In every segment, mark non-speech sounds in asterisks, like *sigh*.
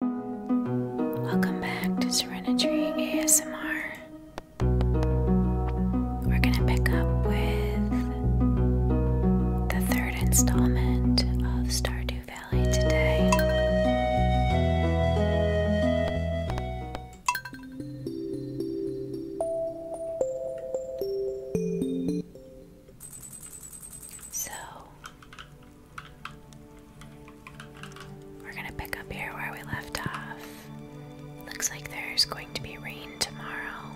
Welcome back to Serenity ASMR. We're going to pick up with the third installment of Stardew Valley today. So, we're gonna pick up here where we left off. Looks like there's going to be rain tomorrow.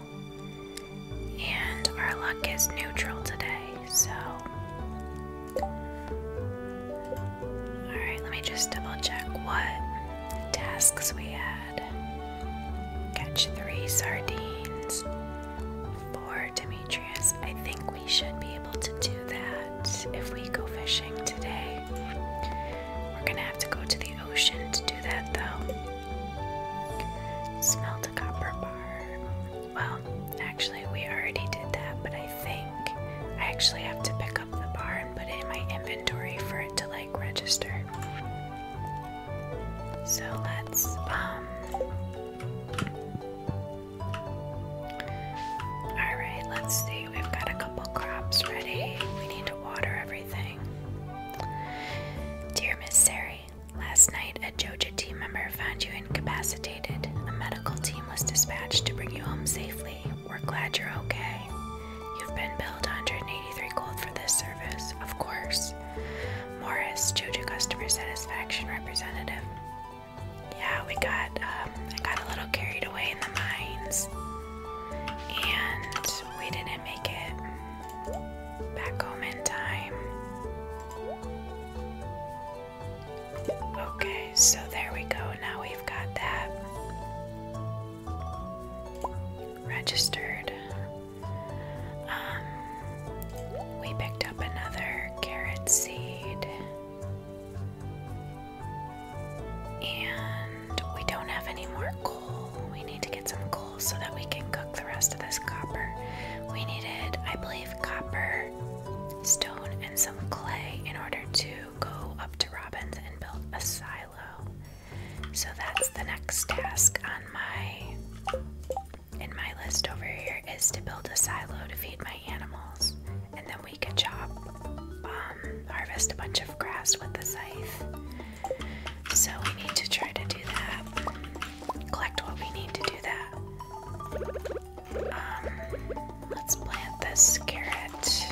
And our luck is neutral today, so. Alright, let me just double check what tasks we had. Catch three sardines, for Demetrius. I think we should be able to do that if we go fishing today. We're gonna have to go to the ocean to do that though. Smelt a copper bar. Well, actually, we already did that, but I think I actually have to pick up the bar and put it in my inventory for it to like register. So let's, um, Alright, let's see. We've got a couple crops ready. We need to water everything. Dear Miss Sari, last night a JoJo team member found you incapacitated. A medical team was dispatched to bring you home safely. We're glad you're okay. You've been billed 183 gold for this service, of course. Morris, JoJo Customer Satisfaction Representative yeah, we got um, I got a little carried away in the mines, and we didn't make it back home in time. Okay, so there we go. Now we've got that registered. Um, we picked up another carrot seed. And we don't have any more coal. We need to get some coal so that we can cook the rest of this copper. We needed, I believe, copper, stone, and some clay in order to go up to Robin's and build a silo. So that's the next task on my in my list over here is to build a silo to feed my animals. And then we we can chop, harvest a bunch of grass with the scythe. So we need to try to do that. Collect what we need to do that. Um, let's plant this carrot.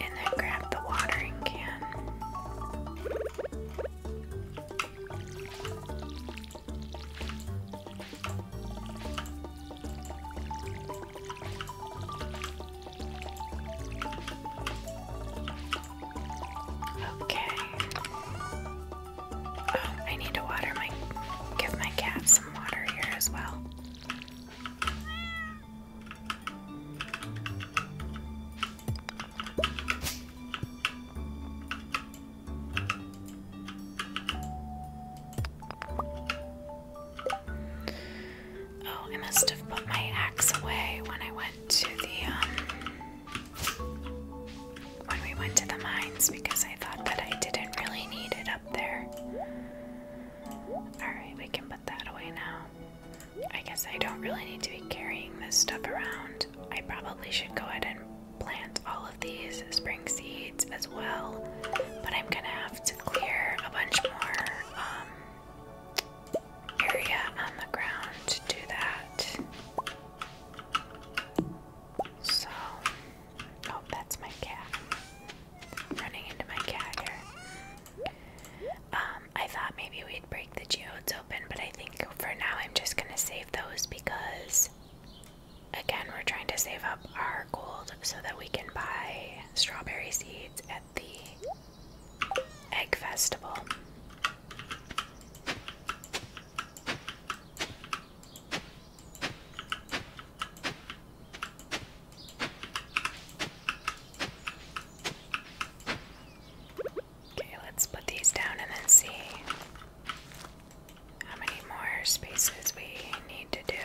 And then grab the watering can. Okay. Oh, I need to water my give my cat some water here as well. Oh, I must have put my axe away when I went to the um when we went to the mines because I thought that I didn't really need it up there. Alright, we can put that away now. I guess I don't really need to be carrying this stuff around. I probably should go ahead and plant all of these spring seeds as well, but I'm gonna have to clear a bunch more um, area on the ground to do that. So, oh, that's my cat. running into my cat here. Um, I thought maybe we'd break the geodes open, but I think for now I'm just gonna save those because again, we're trying to save up our gold so that we can buy strawberry seeds at the egg festival. Okay, let's put these down and then see how many more spaces we need to do.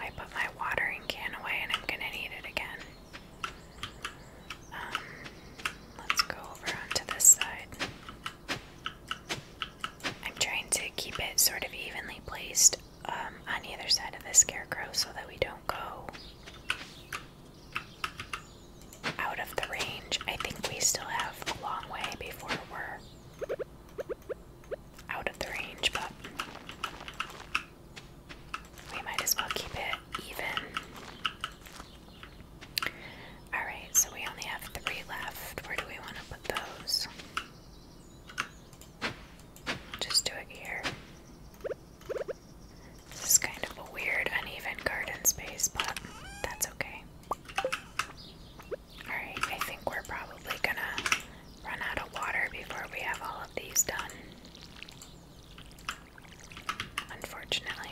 I put my watering can away and I'm gonna need it again. Um, let's go over onto this side. I'm trying to keep it sort of evenly placed um, on either side of the scarecrow so that we don't go out of the range. I think we still have a long way before we're out of the range, but we might as well keep it even. Alright, so we only have three left. Where do we want to put those? Just do it here. This is kind of a weird, uneven garden space, but that's okay. Alright, I think we're probably gonna run out of water before we have all of these done. Unfortunately.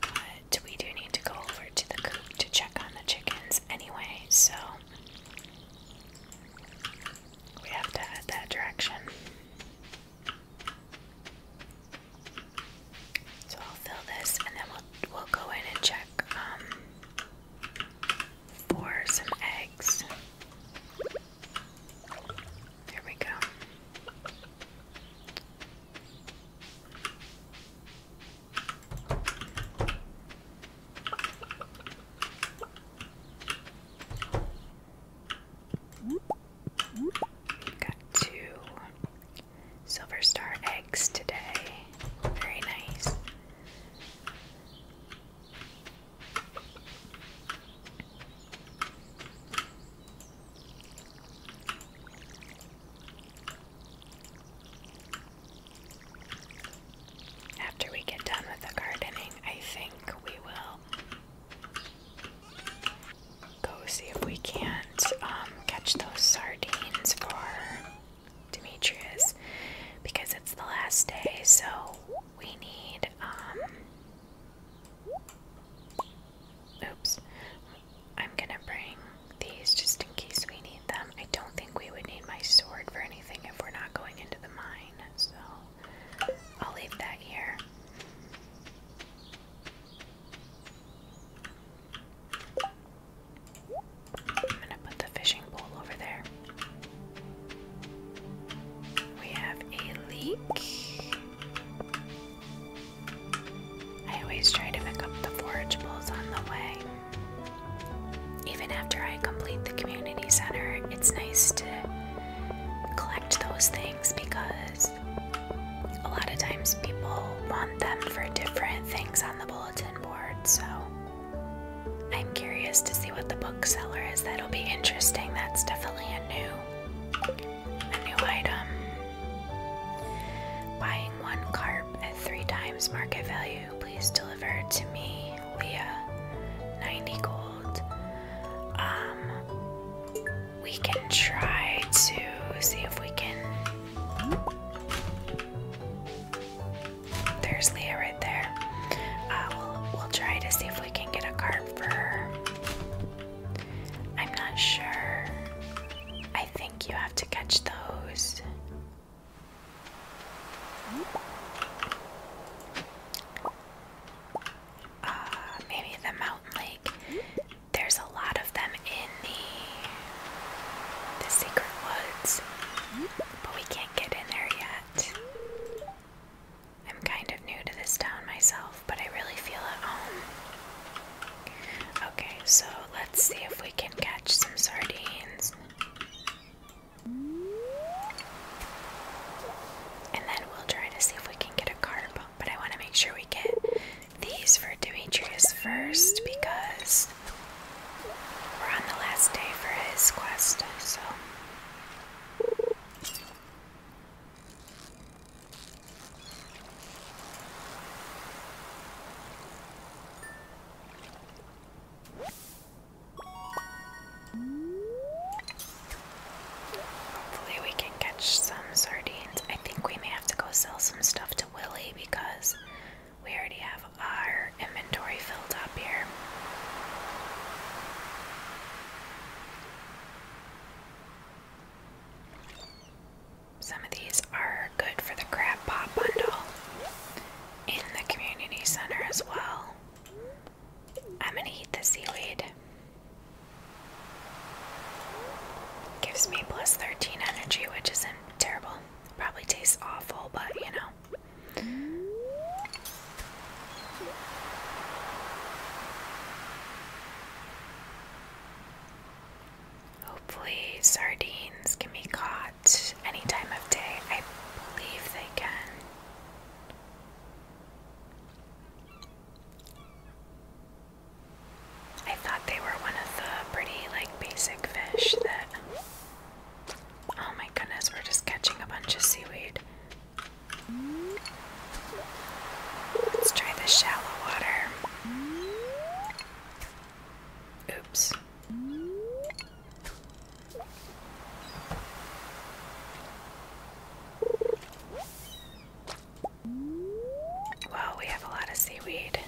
But we do need to go over to the coop to check on the chickens anyway, so we have to head that direction. So I'll fill this and then we'll we'll go in and check um, for some eggs. There we go. Got two silver star eggs today. Very nice. After we get done with the gardening, I think we will go see if we can't um, catch those sardines for Demetrius because it's the last day, so we need um oops. I'm gonna bring these just in case we need them. I don't think we would need my sword for anything if we're not going into the mine, so I'll leave that here. I'm gonna put the fishing pole over there. We have a leak. I always try to pick up the forage bowls on the way. Even after I complete the community center, it's nice to collect those things because a lot of times people want them for different things on the bulletin board. So I'm curious to see what the bookseller is. That'll be interesting. That's definitely a new a new item. Buying one carp at three times market value. Please deliver to me, Leah. 90 gold. Um we can try to see if we can. There's Leah right there. Uh, we'll, try to see if we can get a card for her. I'm not sure. I think you have to catch those. Uh, maybe the mountain lake. There's a lot of them in the the secret woods, but we can't get in there yet. I'm kind of new to this town myself, but I really feel at home. Okay, so let's see if we can catch some sardines. And then we'll try to see if we can get a carp, but I want to make sure we get these for Demetrius first because we're on the last day for his quest, so. Hopefully we can catch some sardines. I think we may have to go sell some stuff to Willie because we already have our inventory filled up here. Some of these are good for the crab pop bundle in the community center as well. I'm gonna eat the seaweed. Gives me plus 13 energy, which isn't terrible. Probably tastes awful, but you know. Hopefully, sardines can be caught any time of day. I believe they can. I thought they were one of the pretty, like, basic fish that. Oh my goodness, we're just catching a bunch of seaweed. Let's try the shallow water. Oops. Well, we have a lot of seaweed.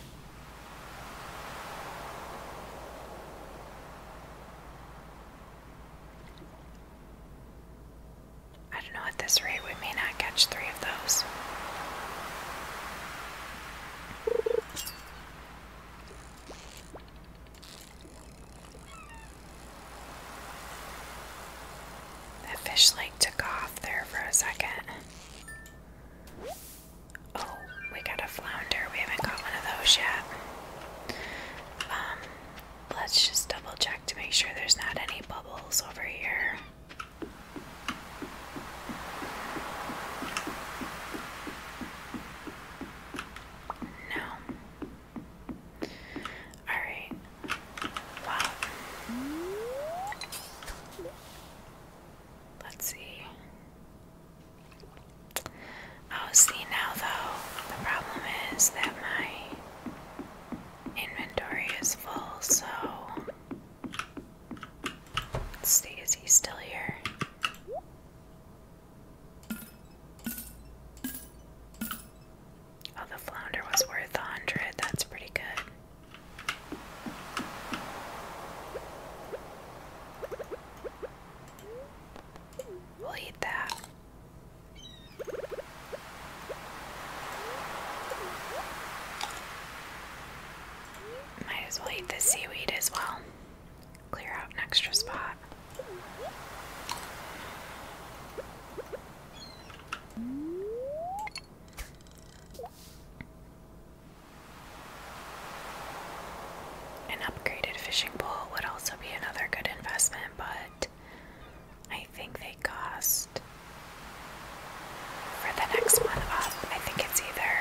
I don't know at this rate, we may not catch three of those. That fish like took off there for a second. Oh, we got a flounder. We haven't got one of those yet. Um, let's just double check to make sure there's not any bubbles over here. No. Alright, Wow. Let's see. Oh, see now though, the problem is that my inventory is full, so let's see, is he still here? Oh, the flounder was worth a hundred, that's pretty good. We'll eat that. Might as well eat the seaweed as well. Clear out an extra spot. An upgraded fishing pole would also be another good investment, but I think they cost. For the next one up, I think it's either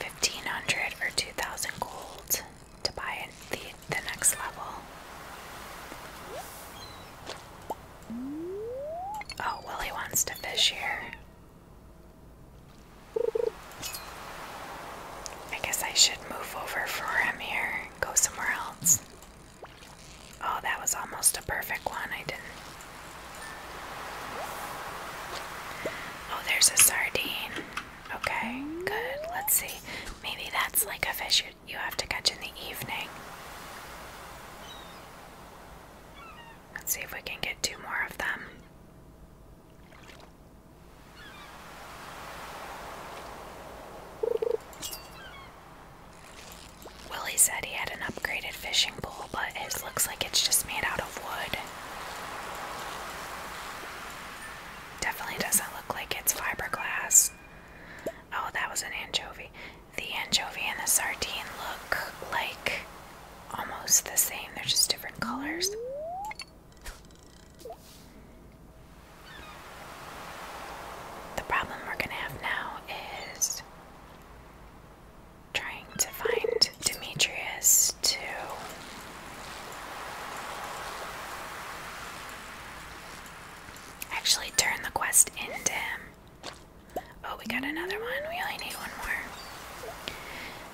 1500 or 2000 gold to buy the, the next level. Oh, well, he wants to fish here. I guess I should move over for him here, go somewhere else. Oh, that was almost a perfect one. I didn't. Oh, there's a sardine. Okay, good. Let's see. Maybe that's like a fish you, you have to catch in the evening. Let's see if we can get two more of them. Willie said he had an upgraded fishing pole, but his looks like it's just made out of wood. Definitely doesn't look like it's fiberglass. Oh, that was an anchovy. The anchovy and the sardine look like almost the same, they're just different colors. The problem we're gonna have now is trying to find Demetrius to actually turn the quest into him. Oh, we got another one. We only need one more.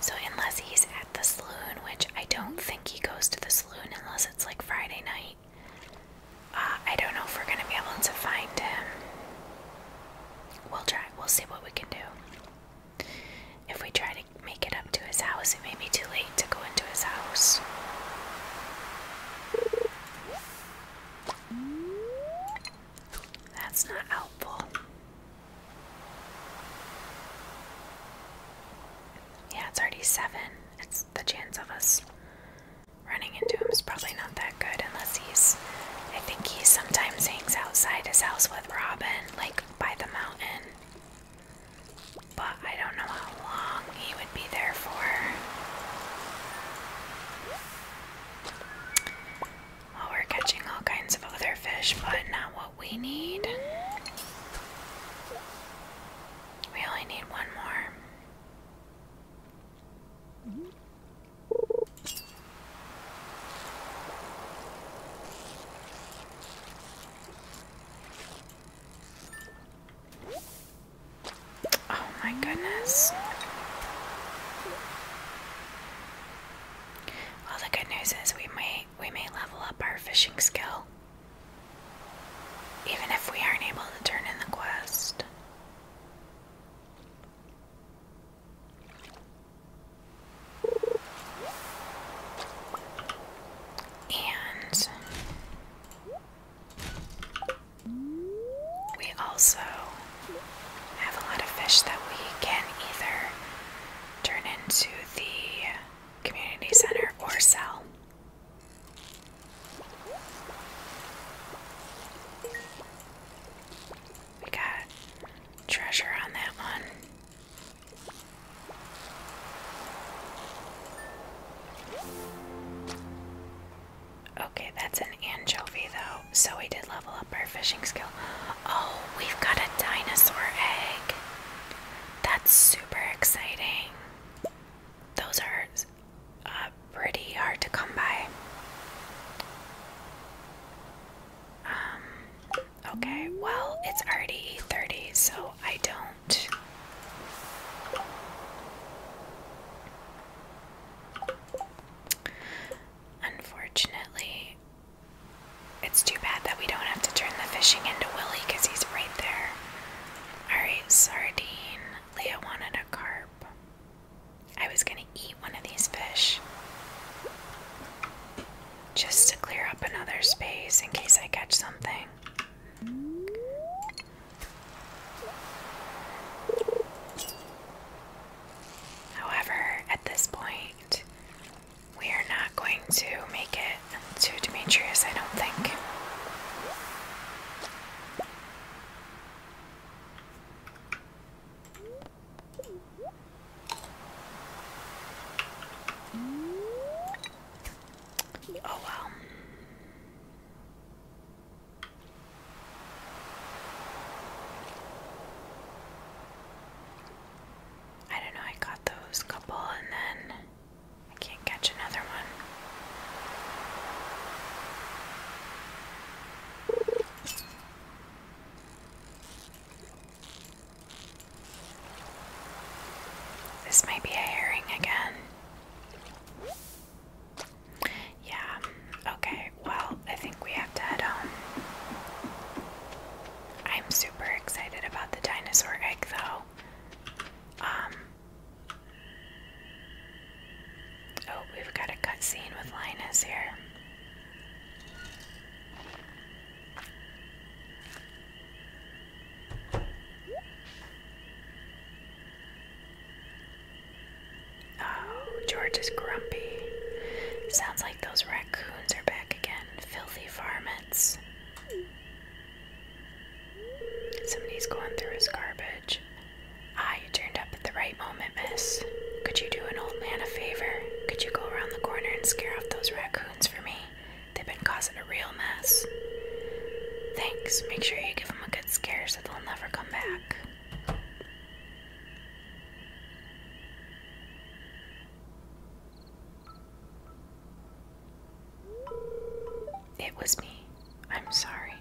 So, unless he's at the saloon, which I don't think he goes to the saloon unless it's like Friday night, uh, I don't know if we're going to be able to find him. We'll try. We'll see what we can do. If we try to make it up to his house, it may be too late to go into his house. That's not helpful. Yeah, it's already seven. It's the chance of us running into him is probably not that good unless he's. I think he sometimes hangs outside his house with Robin, like by the mountain. But I don't know how long he would be there for. Well, we're catching all kinds of other fish, but not what we need. We only need one more. Oh my goodness. Well, the good news is we may we may level up our fishing skill. Even if we aren't able to turn in the quest. And we also have a lot of fish that we can either turn into the community center or sell. We got treasure on that one. Okay, that's an anchovy though. So we did level up our fishing skill. Oh, we've got a dinosaur egg. That's super exciting. Those are uh, pretty hard to come by. Um, okay, well, it's already 8.30, so I don't... Unfortunately, it's too bad that we don't have to turn the fishing into Willie because he's right there. Alright, sardine. Leah wanted a carp. I was gonna eat one of these fish. Just to clear up another space in case I catch something. However, at this point, we are not going to make it to Demetrius, I don't think. Oh well. I don't know, I got those couple and then I can't catch another one. This might be a herring again. Yeah, okay, well, I think we have to head home. I'm super excited about the dinosaur egg, though. Um, oh, we've got a cutscene with Linus here. Oh, George is grumpy. Sounds like those raccoons are back again. Filthy varmints. Somebody's going through his garbage. Ah, you turned up at the right moment, miss. Could you do an old man a favor? Could you go around the corner and scare off those raccoons for me? They've been causing a real mess. Thanks. Make sure you give them a good scare so they'll never come back. It was me. I'm sorry.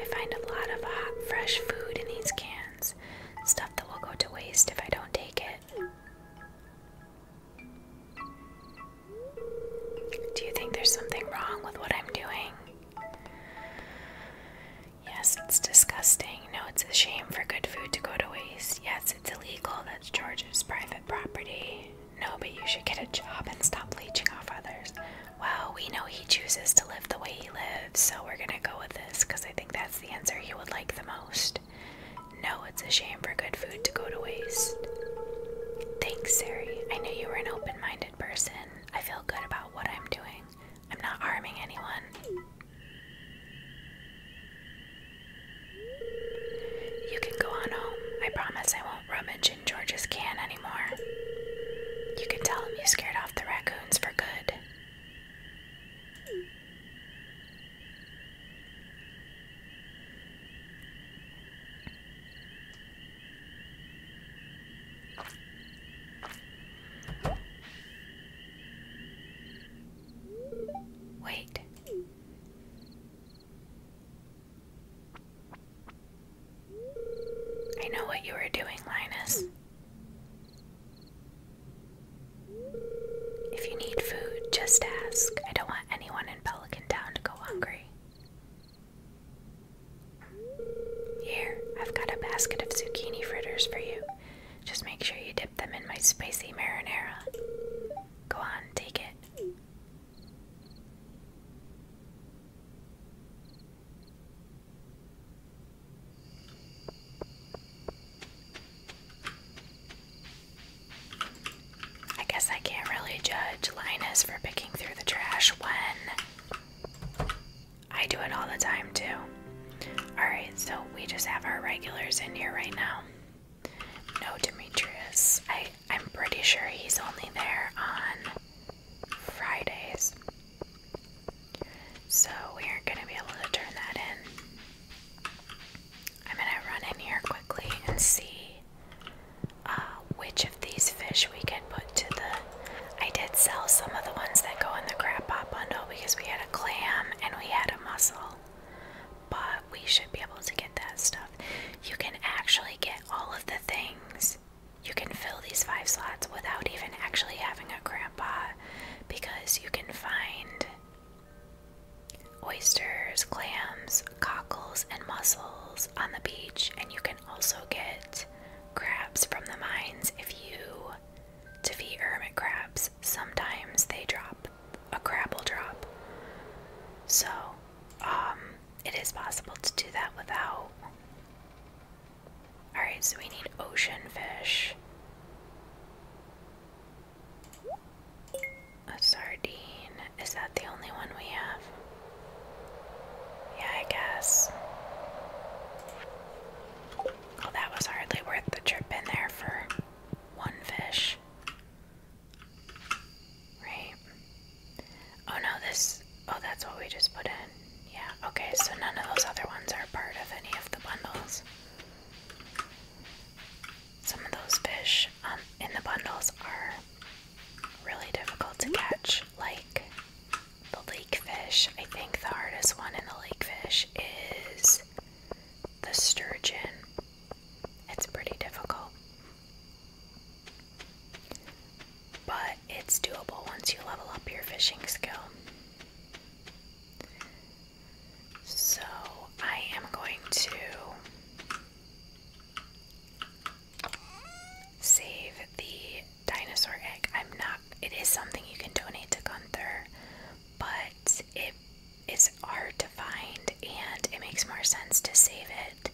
I find a lot of hot, fresh food in these cans. Stuff that will go to waste if I don't take it. Do you think there's something wrong with what I'm doing? Yes, it's disgusting. No, it's a shame for good food to go to waste. Yes, it's illegal. That's George's private property. No, but you should get a job and stop leeching off others. Well, we know he chooses to live the way he lives, so we're gonna go with this because I think that's the answer he would like the most. No, it's a shame for good food to go to waste. Thanks, Sari. I knew you were an open minded person. I feel good about what I'm doing. I'm not harming anyone. You can go on home. I promise I won't rummage in George's can anymore. You can tell him you scared off the raccoons for good. Wait. I know what you were doing, Linus. If you need food, just ask. I don't want anyone in Pelican Town to go hungry. Here, I've got a basket of zucchini fritters for you. Just make sure you dip them in my spicy marinara. Go on, take it. I guess I can't really judge Linus for picking through the trash when I do it all the time, too. Alright, so we just have our regulars in here right now. No Demetrius. I, I'm pretty sure he's only there on Fridays. So we aren't going to be able to turn that in. I'm going to run in here quickly and see uh, which of these fish we can put to the. I did sell some of the ones that go in the crab bundle because we had a clam and we had a mussel, but we should be able to get that stuff. You can actually get all of the things. You can fill these five slots without even actually having a crab because you can find oysters, clams, cockles, and mussels on the beach, and you can also get crabs from the mines if you defeat hermit crabs. Sometimes they drop a crab will drop. So, um, it is possible to do that without. Alright, so we need ocean fish. A sardine. Is that the only one we have? Yeah, I guess. Well, that was hardly worth the trip in there for one fish. Right? Oh no, this. Oh, that's what we just put in. Yeah, okay, so none of those other ones are part of any of the bundles. Some of those fish um, in the bundles are really difficult to catch, like the lake fish. I think the hardest one in the lake fish is the sturgeon. It's pretty difficult. But it's doable once you level up your fishing skill. So I am going to Save the dinosaur egg. I'm not. It is something you can donate to Gunther, but it is hard to find, and it makes more sense to save it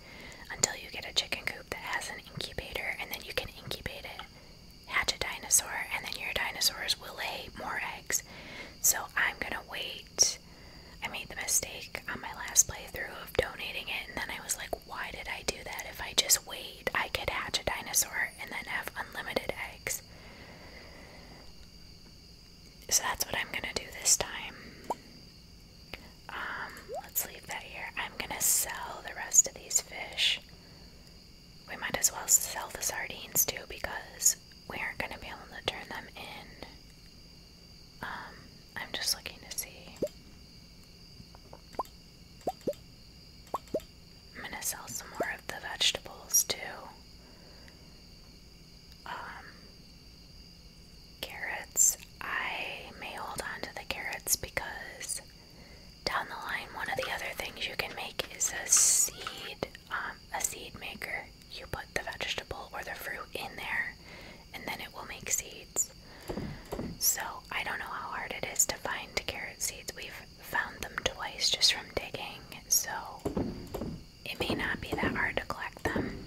until you get a chicken coop that has an incubator, and then you can incubate it, hatch a dinosaur, and then your dinosaurs will lay more eggs. So I'm gonna wait. I made the mistake on my last playthrough of donating it, and then I was like, why did I do that? If I just wait, I could hatch a dinosaur and then have unlimited eggs. So that's what I'm gonna do this time. Um, let's leave that here. I'm gonna sell the rest of these fish. We might as well sell the sardines too because we aren't gonna be able to turn them in. Um, I'm just looking to see. I'm gonna sell some more of the vegetables too. Um, carrots. I may hold on to the carrots because down the line, one of the other things you can make is a seed, um, a seed maker. You put the vegetable or the fruit in there, and then it will make seeds. So I don't know how hard it is to find carrot seeds. We've found them twice just from digging, so it may not be that hard to collect them.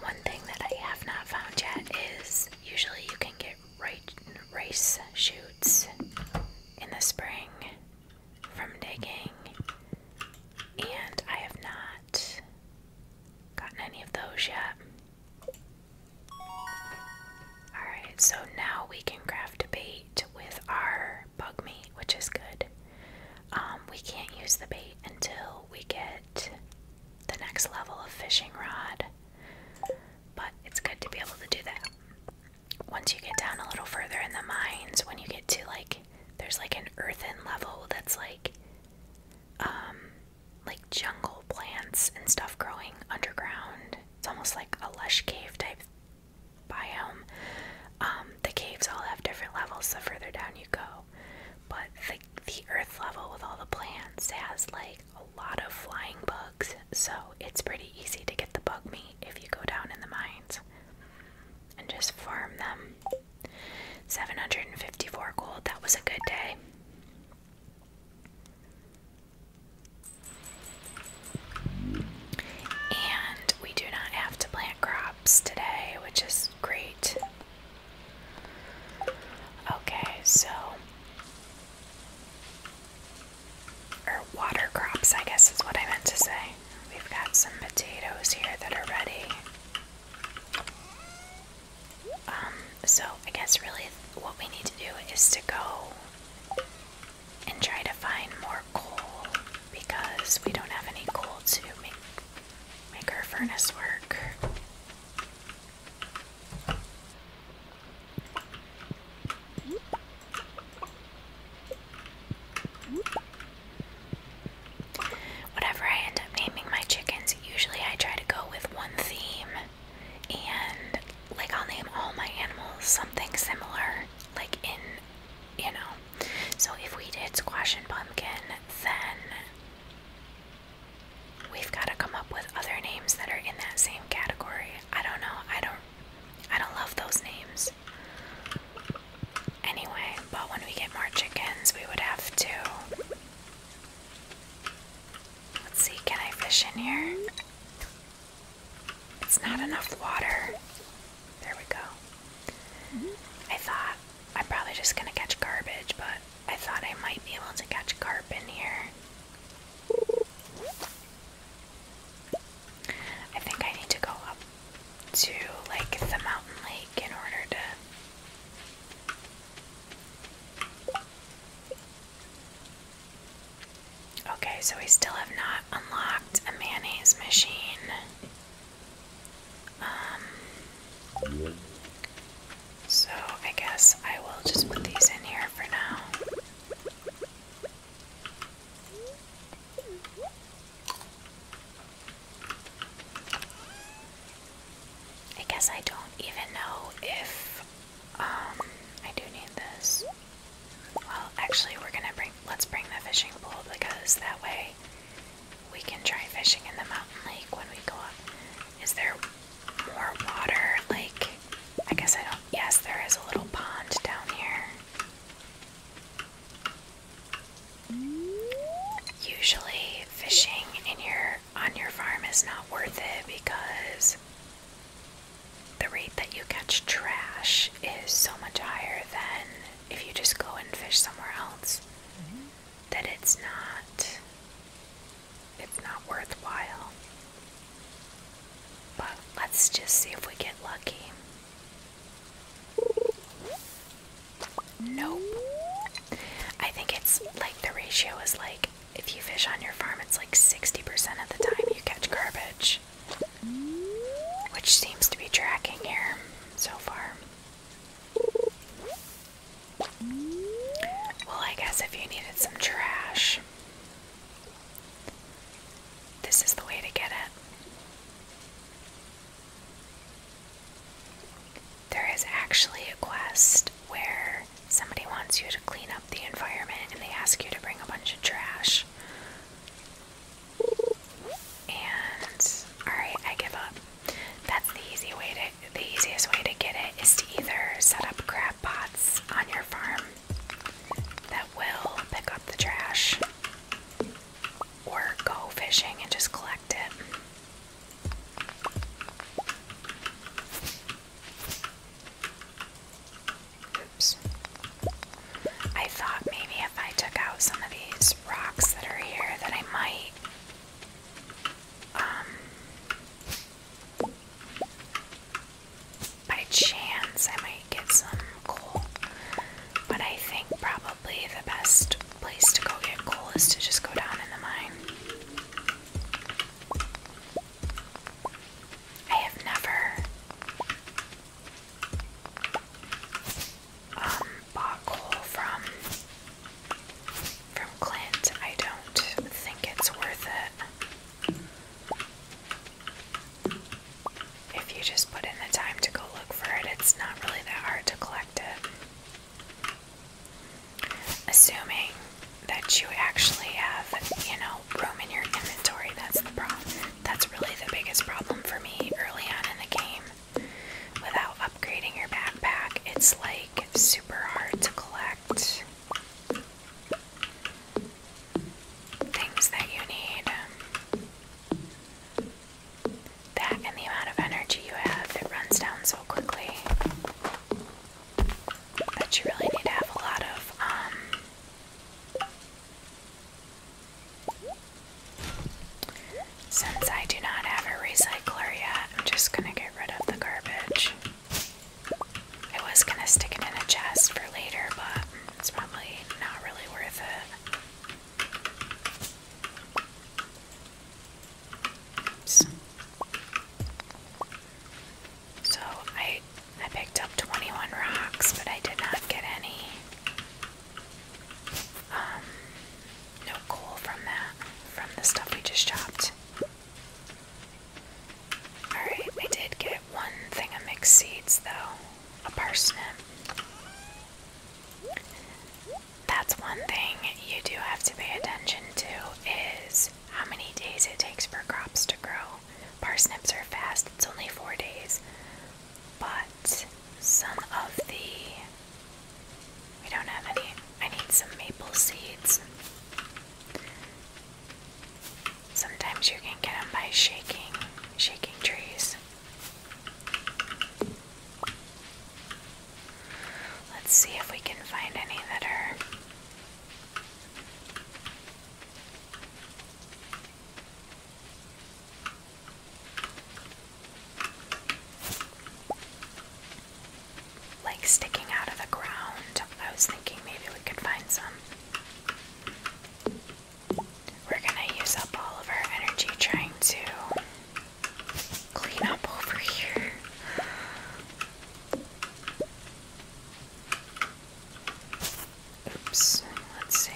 One thing that I have not found yet is usually you can get rice shoots in the spring from digging, and I have not Gotten any of those yet? Alright, so now we can craft bait with our bug meat, which is good. Um, we can't use the bait until we get the next level of fishing rod, but it's good to be able to do that. Once you get down a little further in the mines, when you get to like, there's like an earthen level that's like, um, like jungle plants and stuff growing underground. It's almost like a lush cave type biome. Um, the caves all have different levels the further down you go, but the, the earth level with all the plants has like a lot of flying bugs, so it's pretty easy to get the bug meat if you go down in the mines and just farm them. 754 gold. That was a good day. And we do not have to plant crops today, which is great. Okay, so. Or water crops, I guess is what I meant to say. We've got some potatoes here that are ready. Um, so I guess really what we need to do is to go and try to find more coal because we don't have any coal to make make our furnace work. Whatever I end up naming my chickens, usually I try to go with one theme and like I'll name all my animals something similar, like in you know. So if we did squash and pumpkin, then we've got to come up with other names that are in that same category. I don't know. I don't I don't love those names. Anyway, but when we get more chickens, we would have to Let's see, can I fish in here? It's not enough water. There we go. Mm-hmm. I thought I'm probably just gonna catch garbage, but I thought I might be able to catch carp in here. I think I need to go up to like the mountain lake in order to Okay, so we still have not unlocked a mayonnaise machine. Um, so I guess I will just put these in here for now. I guess I don't even know if um, I do need this. Well, actually we're gonna bring let's bring the fishing pole because that way we can try fishing in the mountain lake when we go up. Is there more water? Like I guess I don't yes, there is a little pond down here. Usually, fishing in your on your farm is not worth it because the rate that you catch trash is so much higher than if you just go and fish somewhere else mm-hmm. that it's not it's not worthwhile. But let's just see if we get lucky. Nope. I think it's like the ratio is like if you fish on your farm, it's like 60% of the time you catch garbage, which seems to be tracking here so far. Well, I guess if you needed some trash, this is the way to get it. There is actually a quest where somebody wants you to clean up the environment and they ask you to bring a bunch of trash. And alright, I give up. That's the easy way to the easiest way to get it is to either set up crab pots on your farm that will pick up the trash or go fishing and just collect it. I thought maybe if I took out some of these rocks that are here that I might um, by chance I might get some coal. But I think probably the best place to go get coal is to just go down in the mine. I have never um, bought coal from from Clint. I don't think it's worth it. If you just put in the time to go look for it, it's not really that hard to collect it. Assuming that you actually have, you know, room in your inventory, that's the problem. That's really the biggest problem for me early on in the game. Without upgrading your backpack, it's like super hard to collect things that you need. That and the amount of energy you have, that runs down so quickly. But you really need to have a lot of, um, since I do not have a recycler yet, I'm just gonna get rid of the garbage. I was gonna stick it in a chest for later, but it's probably not really worth it. So I I picked up 21 rocks, but I did not get any um no coal from that from the stuff we just chopped. Alright, I did get one thing of mixed seeds though. A parsnip. That's one thing you do have to pay attention to is how many days it takes for crops to grow? Parsnips are fast, it's only four days. But some of the. We don't have any. I need some maple seeds. Sometimes you can get them by shaking, shaking trees. Let's see if we can find any that are like sticking out of the ground. I was thinking maybe we could find some. We're gonna use up all of our energy trying to clean up over here. Oops, let's see.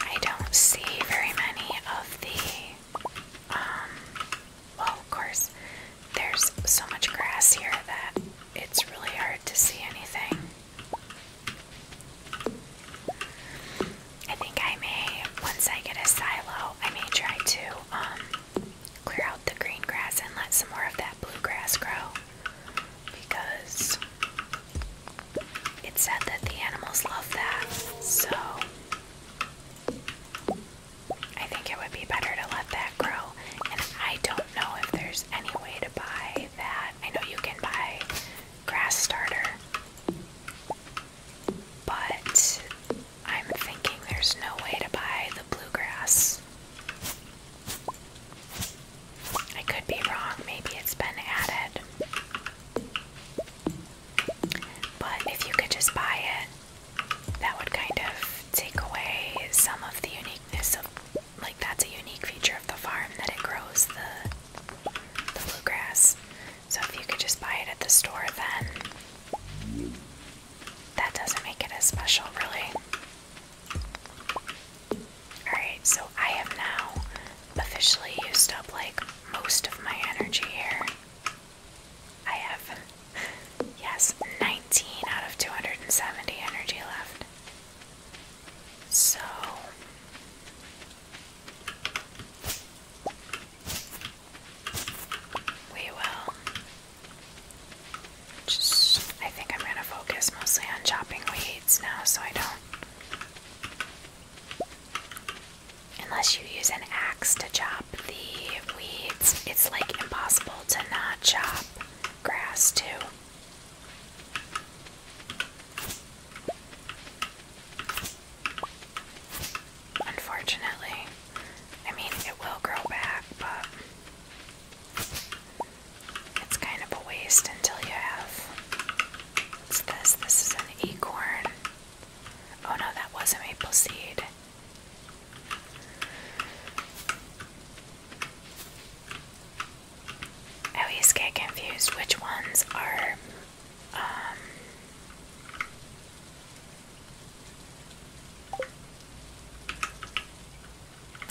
I don't see very many of the, um, well, of course, there's so much grass here that it's really hard to see anything. I think I may, once I get a silo, I may try to um, clear out the green grass and let some more of that blue grass grow. Because it's said that the animals love that, so I think it would be better to let that grow. And I don't know if there's any way to buy that. I know you can buy grass starter. But I'm thinking there's no way to buy the bluegrass. I could be wrong, maybe it's been added. But if you could just buy it, that would kind of take away some of the uniqueness of, like, that's a unique feature of the farm that it grows the the bluegrass. So if you could just buy it at the store, then that doesn't make it as special, really. Alright, so I have now officially used up like most of my energy here. I have, yes, 19 out of 270 energy left. So, we will just, I think I'm going to focus mostly on chopping weeds now so I don't. Unless you use an axe to chop the weeds, it's like impossible to not chop grass too. Unfortunately, I mean, it will grow back, but it's kind of a waste until you have. What's this? This is an acorn. Oh no, that was a maple seed. I always get confused which ones are um,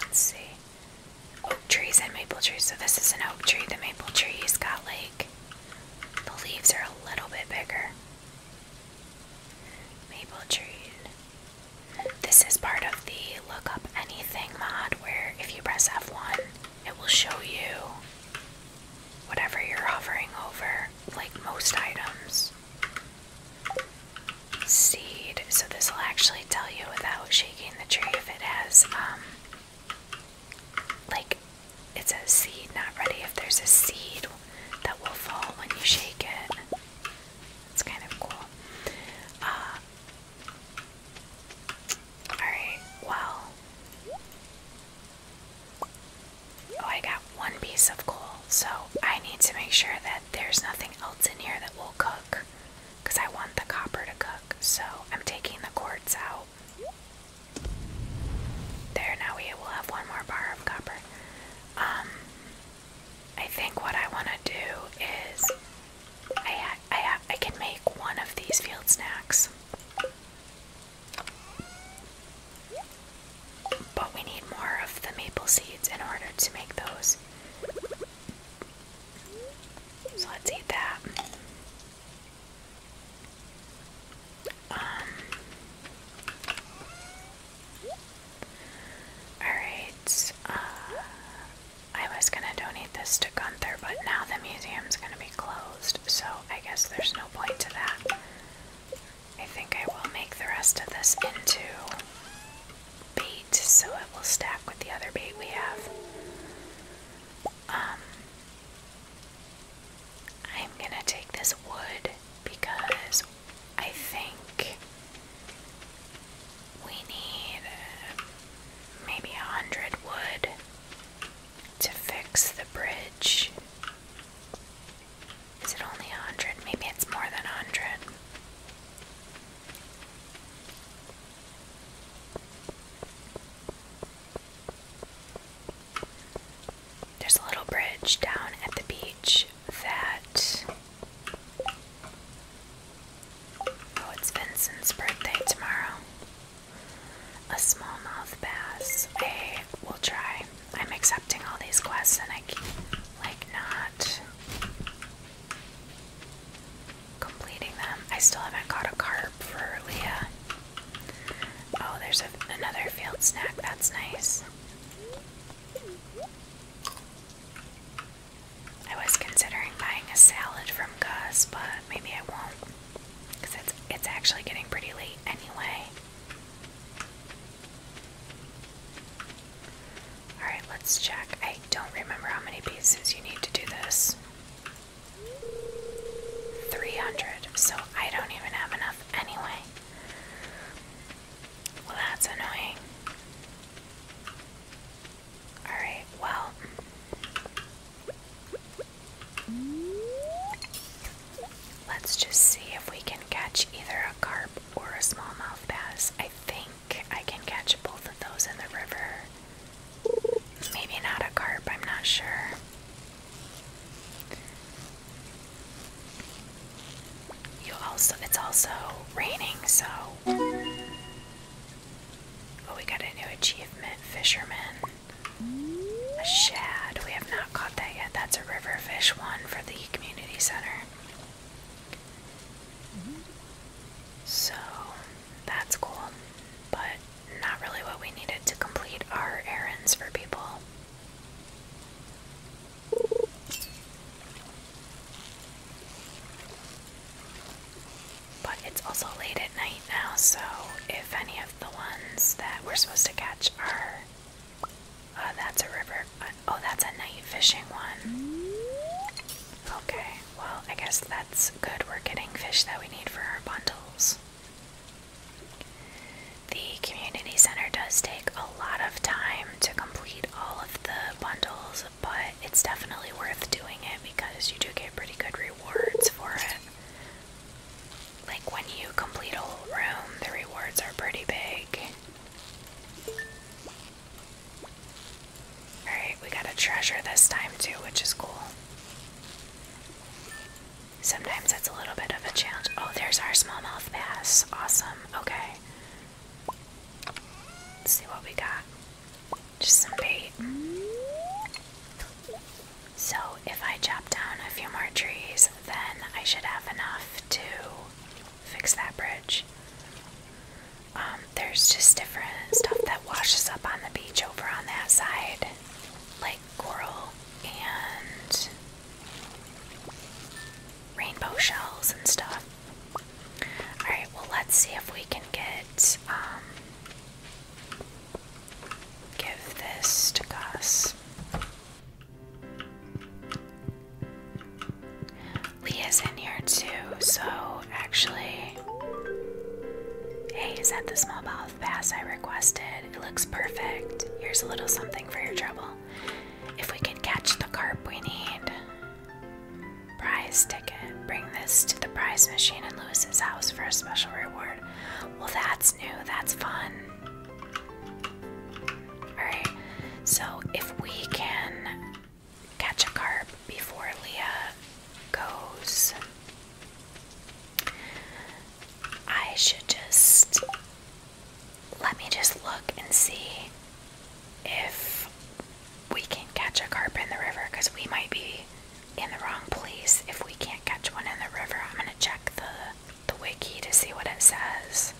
let's see. Oak trees and maple trees. So this is an oak tree. The maple tree's got like the leaves are a little bit bigger. Maple tree. This is part of the look up anything mod where if you press F1 it will show you whatever you're hovering over, like most items. Seed, so this will actually tell you without shaking the tree if it has, um, like it's a seed not ready, if there's a seed that will fall when you shake it. It's kind of cool. Uh, Alright, well. Oh, I got one piece of coal, so I need to make sure that there's nothing else in here that will cook because I want the copper to cook. So I'm taking the quartz out. There, now we will have one more bar of copper. Um, I think what I want to do is I, I, I can make one of these field snacks. But we need more of the maple seeds in order to make those. So let's eat that. Um, alright, uh, I was gonna donate this to Gunther, but now the museum's gonna be closed so I guess there's no point to that. I think I will make the rest of this into bait so it will stack with the other bait we have. Um, I'm gonna take this wood because I think we need maybe a hundred wood to fix the bridge. Is it only a hundred? Maybe it's more than a hundred. There's a little bridge down at the beach that. Oh, it's Vincent's birthday tomorrow a smallmouth bass. I will try. I'm accepting all these quests and I keep, like, not completing them. I still haven't caught a carp for Leah. Oh, there's another field snack. That's nice. I was considering buying a salad from Gus, but maybe I won't. Because it's, it's actually getting pretty late anyway. Alright, let's check. I don't remember how many pieces you need to do this. 300, so I don't even have enough anyway. Well, that's annoying. Alright, well. Mm. Let's just see if we can catch either a carp or a smallmouth bass. I think I can catch both of those in the river. Maybe not a carp, I'm not sure. You also it's also raining, so Oh, we got a new achievement, fisherman. A shad. We have not caught that yet. That's a river fish one for the community center. So that's cool, but not really what we needed to complete our errands for people. But it's also late at night now, so if any of the ones that we're supposed to catch are. Uh, that's a river. Uh, oh, that's a night fishing one. Okay, well, I guess that's good. We're getting fish that we need for our bundles. The community center does take a lot of time to complete all of the bundles, but it's definitely worth doing it because you do get pretty good rewards for it. Like when you complete a whole room, the rewards are pretty big. Alright, we got a treasure this time too, which is cool. Sometimes it's a little bit of a challenge. Oh, there's our smallmouth bass. Awesome. Okay. Let's see what we got. Just some bait. So if I chop down a few more trees, then I should have enough to fix that bridge. Um, there's just different stuff that washes up on the beach over on that side, like coral and rainbow shells and stuff. Alright, well, let's see if we can get um, Give this to Gus. Leah's in here too, so actually. Hey, is that the small mouth pass I requested? It looks perfect. Here's a little something for your trouble. If we can catch the carp we need. Prize ticket. Bring this to the prize machine in Lewis's house for a special reward. Well, that's that's fun. Alright, so if we can catch a carp before Leah goes, I should just. Let me just look and see if we can catch a carp in the river because we might be in the wrong place if we can't catch one in the river. I'm gonna check the the wiki to see what it says.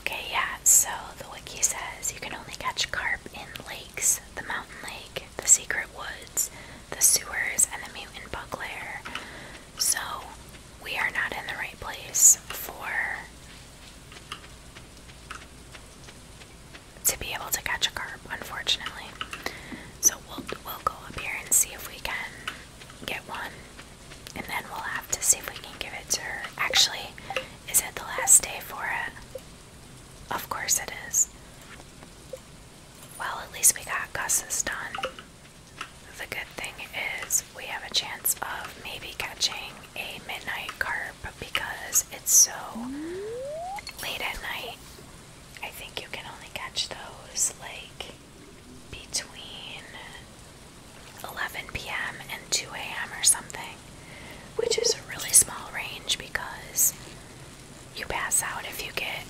Okay, yeah, so the wiki says you can only catch carp in lakes, the mountain lake, the secret woods, the sewers, and the mutant bug lair. So we are not in the right place for to be able to catch a carp unfortunately. So we'll we'll go up here and see if we can get one, and then we'll have to see if we can give it to her. Actually, is it the last day for it? Of course it is. Well, at least we got Gus's done. The good thing is we have a chance of maybe catching a midnight carp because it's so late at night I think you can only catch those like between 11 p.m. and 2 a.m. or something, which is a really small range because you pass out if you get,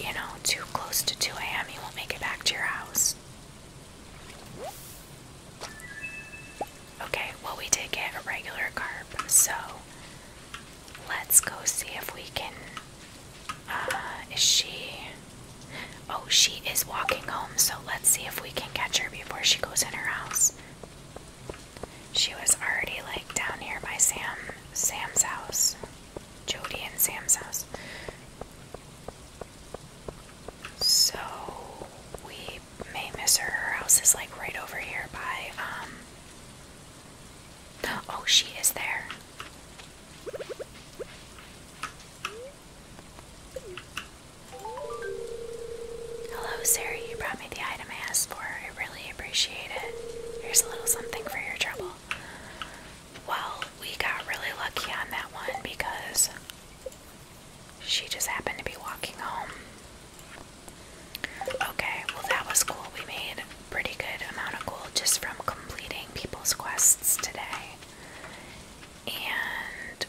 you know, too close to 2 a.m., you won't make it back to your house. Okay, well, we did get a regular carb, so Let's go see if we can. Uh, is she. Oh, she is walking home, so let's see if we can catch her before she goes in her house. She was already like down here by Sam, Sam's house, Jody and Sam's house. So we may miss her. Her house is like right over here by um. Oh, she is there. Hello, Sarah. You brought me the item I asked for. I really appreciate it. Here's a little something for your trouble. Well, we got really lucky on that one because she just happened to be walking home. Okay, well, that was cool. We made pretty good amount of gold just from completing people's quests today. And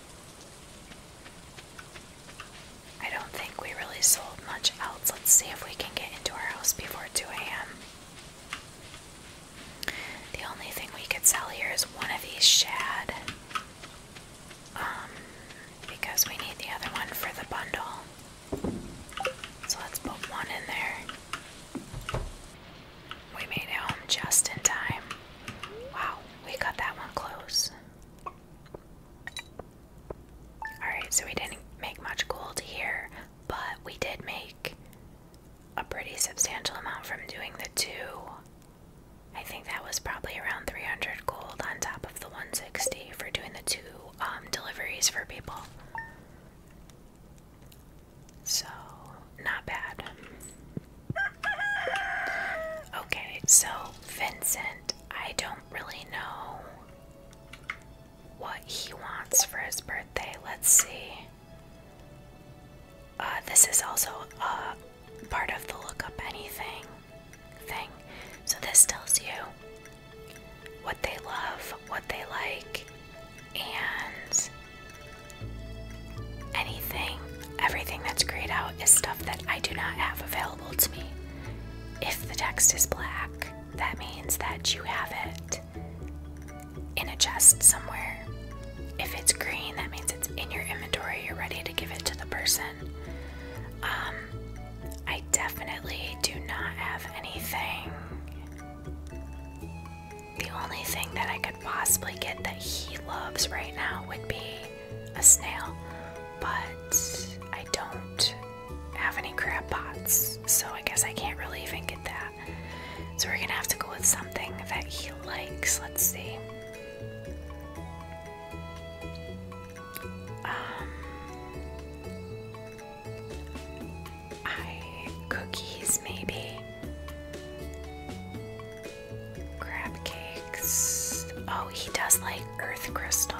I don't think we really sold much else. Let's see if we can get into our house before 2 a.m. The only thing we could sell here is one of these shad. Um, because we need the other one for the bundle. So let's put one in there. We made it home just in time. Wow, we got that one close. Alright, so we didn't make much gold here, but we did make a pretty substantial amount from doing the two. I think that was probably around 300 gold on top of the 160 for doing the two um, deliveries for people. So, not bad. Okay, so Vincent, I don't really know what he wants for his birthday. Let's see. Uh, this is also a part of the look up anything thing. So, this tells you what they love, what they like, and anything, everything that's grayed out is stuff that I do not have available to me. If the text is black, that means that you have it in a chest somewhere. If it's green, that means it's in your inventory, you're ready to give it to the person. Um, I definitely do not have anything the only thing that I could possibly get that he loves right now would be a snail, but I don't have any crab pots, so I guess I can't really even get that. So we're gonna have to go with something that he likes. Let's see. Um, I cookies maybe. Crab cakes. Oh, he does like earth crystal.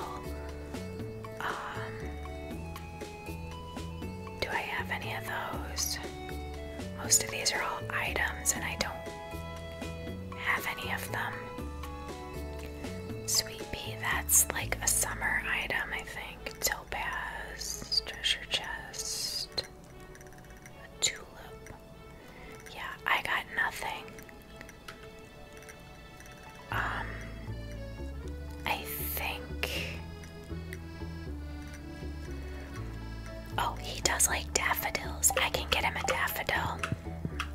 Um, do I have any of those? Most of these are all items and I don't have any of them. Sweet that's like a summer item, I think topaz, treasure chest, tulip. Yeah, I got nothing. Um, I think. Oh, he does like daffodils. I can get him a daffodil.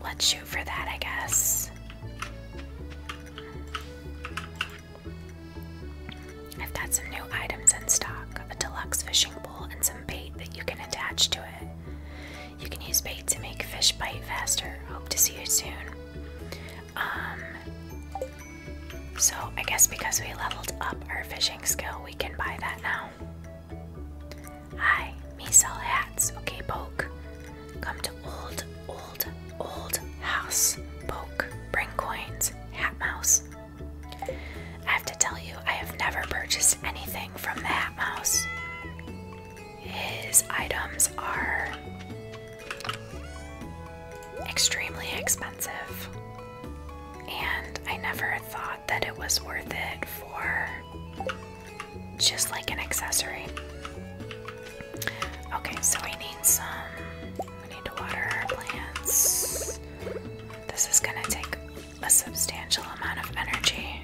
Let's shoot for that, I guess. I've got some new items in stock a deluxe fishing pole and some bait that you can attach to it. You can use bait to make fish bite faster. Hope to see you soon. Um, so, I guess because we leveled up our fishing skill, we can buy that now. Hi, me sell hats. Okay, poke. Come to old, old, old house. Poke, bring coins, hat mouse. I have to tell you, I have never purchased anything from the hat mouse. His items are extremely expensive, and I never thought that it was worth it for just like an accessory. Okay, so we need some we need to water our plants. This is gonna take a substantial amount of energy,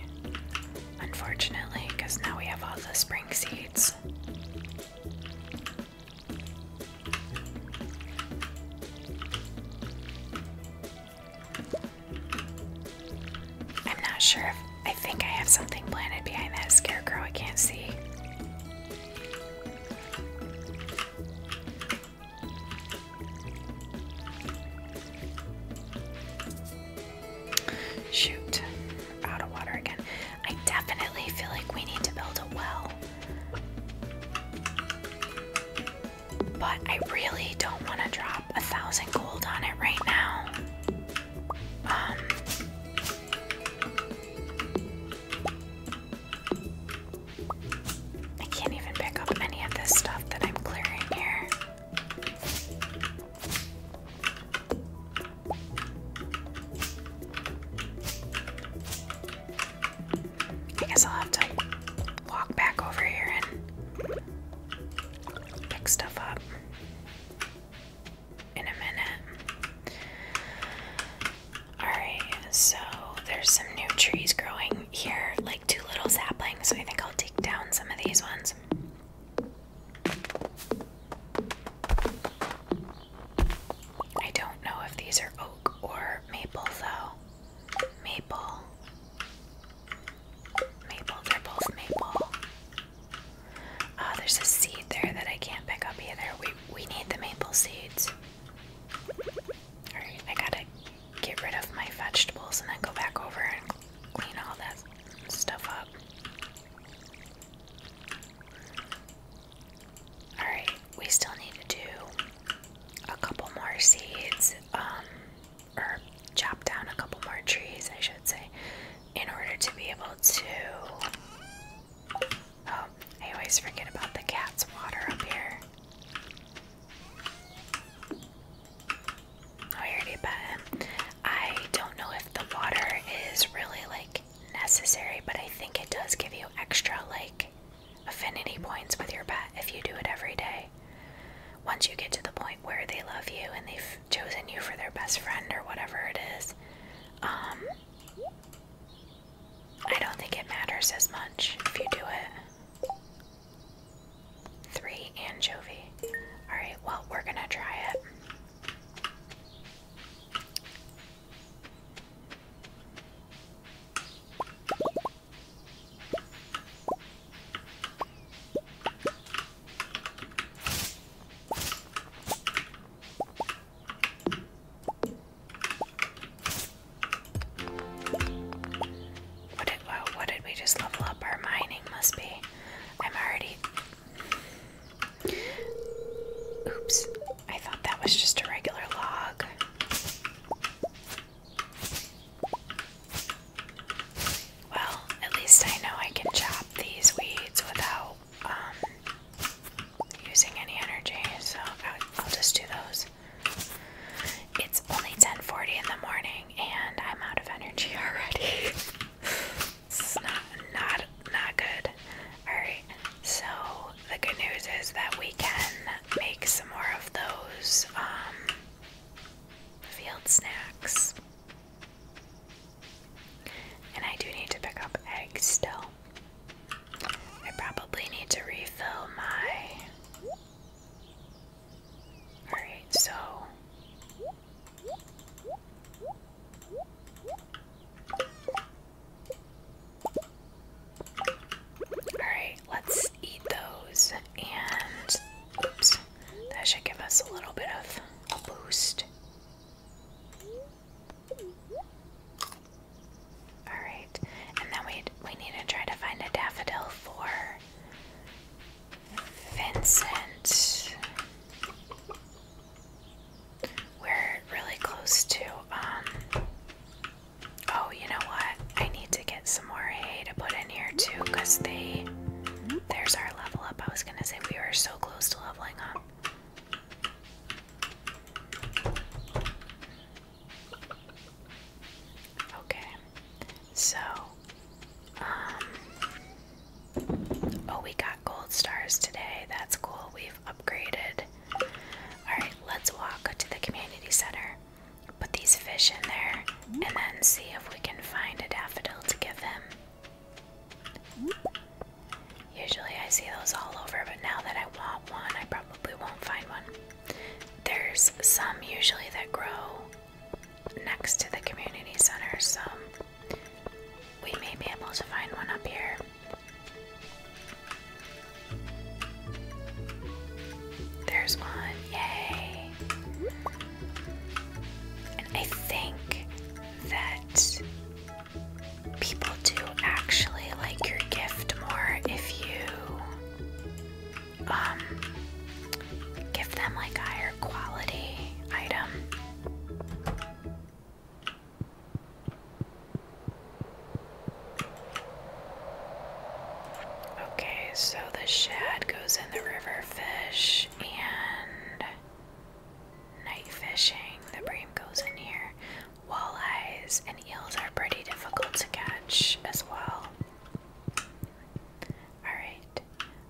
unfortunately, because now we have all the spring seeds. I'm not sure if I think I have something planted behind that scarecrow I can't see. Shoot. Out of water again. I definitely feel like we need to build a well. But I really don't want to drop a thousand gold on it right now. Um, I can't even pick up any of this stuff that I'm clearing here. I guess I'll have to walk back over here and pick stuff up in a minute. Alright, so there's some new trees growing here, like two little saplings. So I think I'll take down some of these ones. I don't know if these are oak or maple, though. Maple. Maple, are both maple. Ah, there's a seed there that I can't pick up either. We we need the maple seeds. Alright, I gotta get rid of my vegetables and then go back over and clean all that stuff up. Alright, we still need to do a couple more seeds, um, or chop down a couple more trees, I should say, in order to be able to Oh, I always forget about the cat's water up here. Oh, I already bet him. I don't know if the water is really like necessary, but I think it does give you extra like affinity points with your pet if you do it every day. Once you get to the point where they love you and they've chosen you for their best friend or whatever it is, um, I don't think it matters as much if you do it. Three anchovy. Alright, well, we're gonna try it. What did, well, what did we just level up? Our mining must be. I'm already. Oops. I thought that was just a regular log. Well, at least I know I can chop these weeds without um, using any energy, so I'll just do those. It's only 10:40 in the morning, and I'm out of energy *laughs* already. it's not not not good. All right. So the good news is that we can make some more of those um, field snacks. And I do need to pick up eggs still. I probably need to refill my. Alright, so. Alright, let's eat those and. Oops, that should give us a little bit of boost. All right, and then we we need to try to find a daffodil for Vincent. We're really close to um. Oh, you know what? I need to get some more hay to put in here too, cause they. There's our level up. I was gonna say we were so close to leveling up. Okay. So, um, oh, we got gold stars today. That's cool. We've upgraded. Alright, let's walk to the community center, put these fish in there, and then see if we can find a daffodil to give him. Usually I see those all over, but now that I want one, I probably won't find one. There's some usually that grow next to the community center, so we may be able to find one up here. There's one, yay! And I think that people to actually like your gift more if you um, give them like a higher quality item. Okay, so the shad goes in the river fish and night fishing. The bream goes in here. Walleyes and eels are pretty difficult to catch as well. Alright,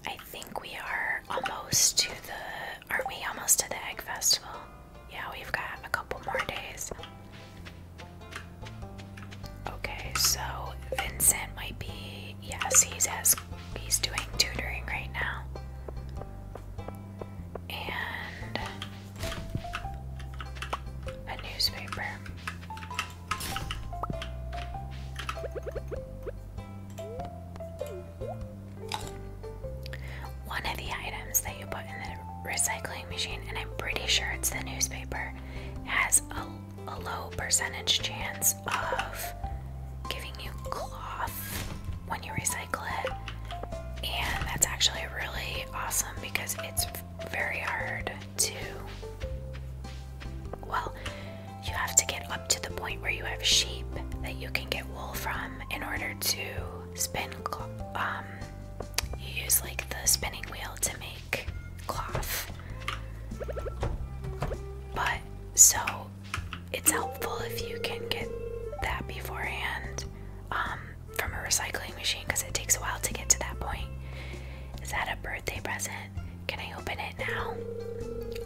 I think we are almost to the. Aren't we almost to the Egg Festival? Yeah, we've got a couple more days. Okay, so Vincent might be. Yes, he's, as, he's doing tutoring right now. And a newspaper. One of the items that you put in the recycling machine, and I'm pretty sure it's the newspaper, has a, a low percentage chance of giving you cloth when you recycle it. And that's actually really awesome because it's very hard to. Well, you have to get up to the point where you have sheep that you can get wool from in order to spin. Um, you use like the spinning wheel to make cloth. But so it's helpful if you can get that beforehand. Um, from a recycling machine because it takes a while to get to that point. Is that a birthday present? Can I open it now?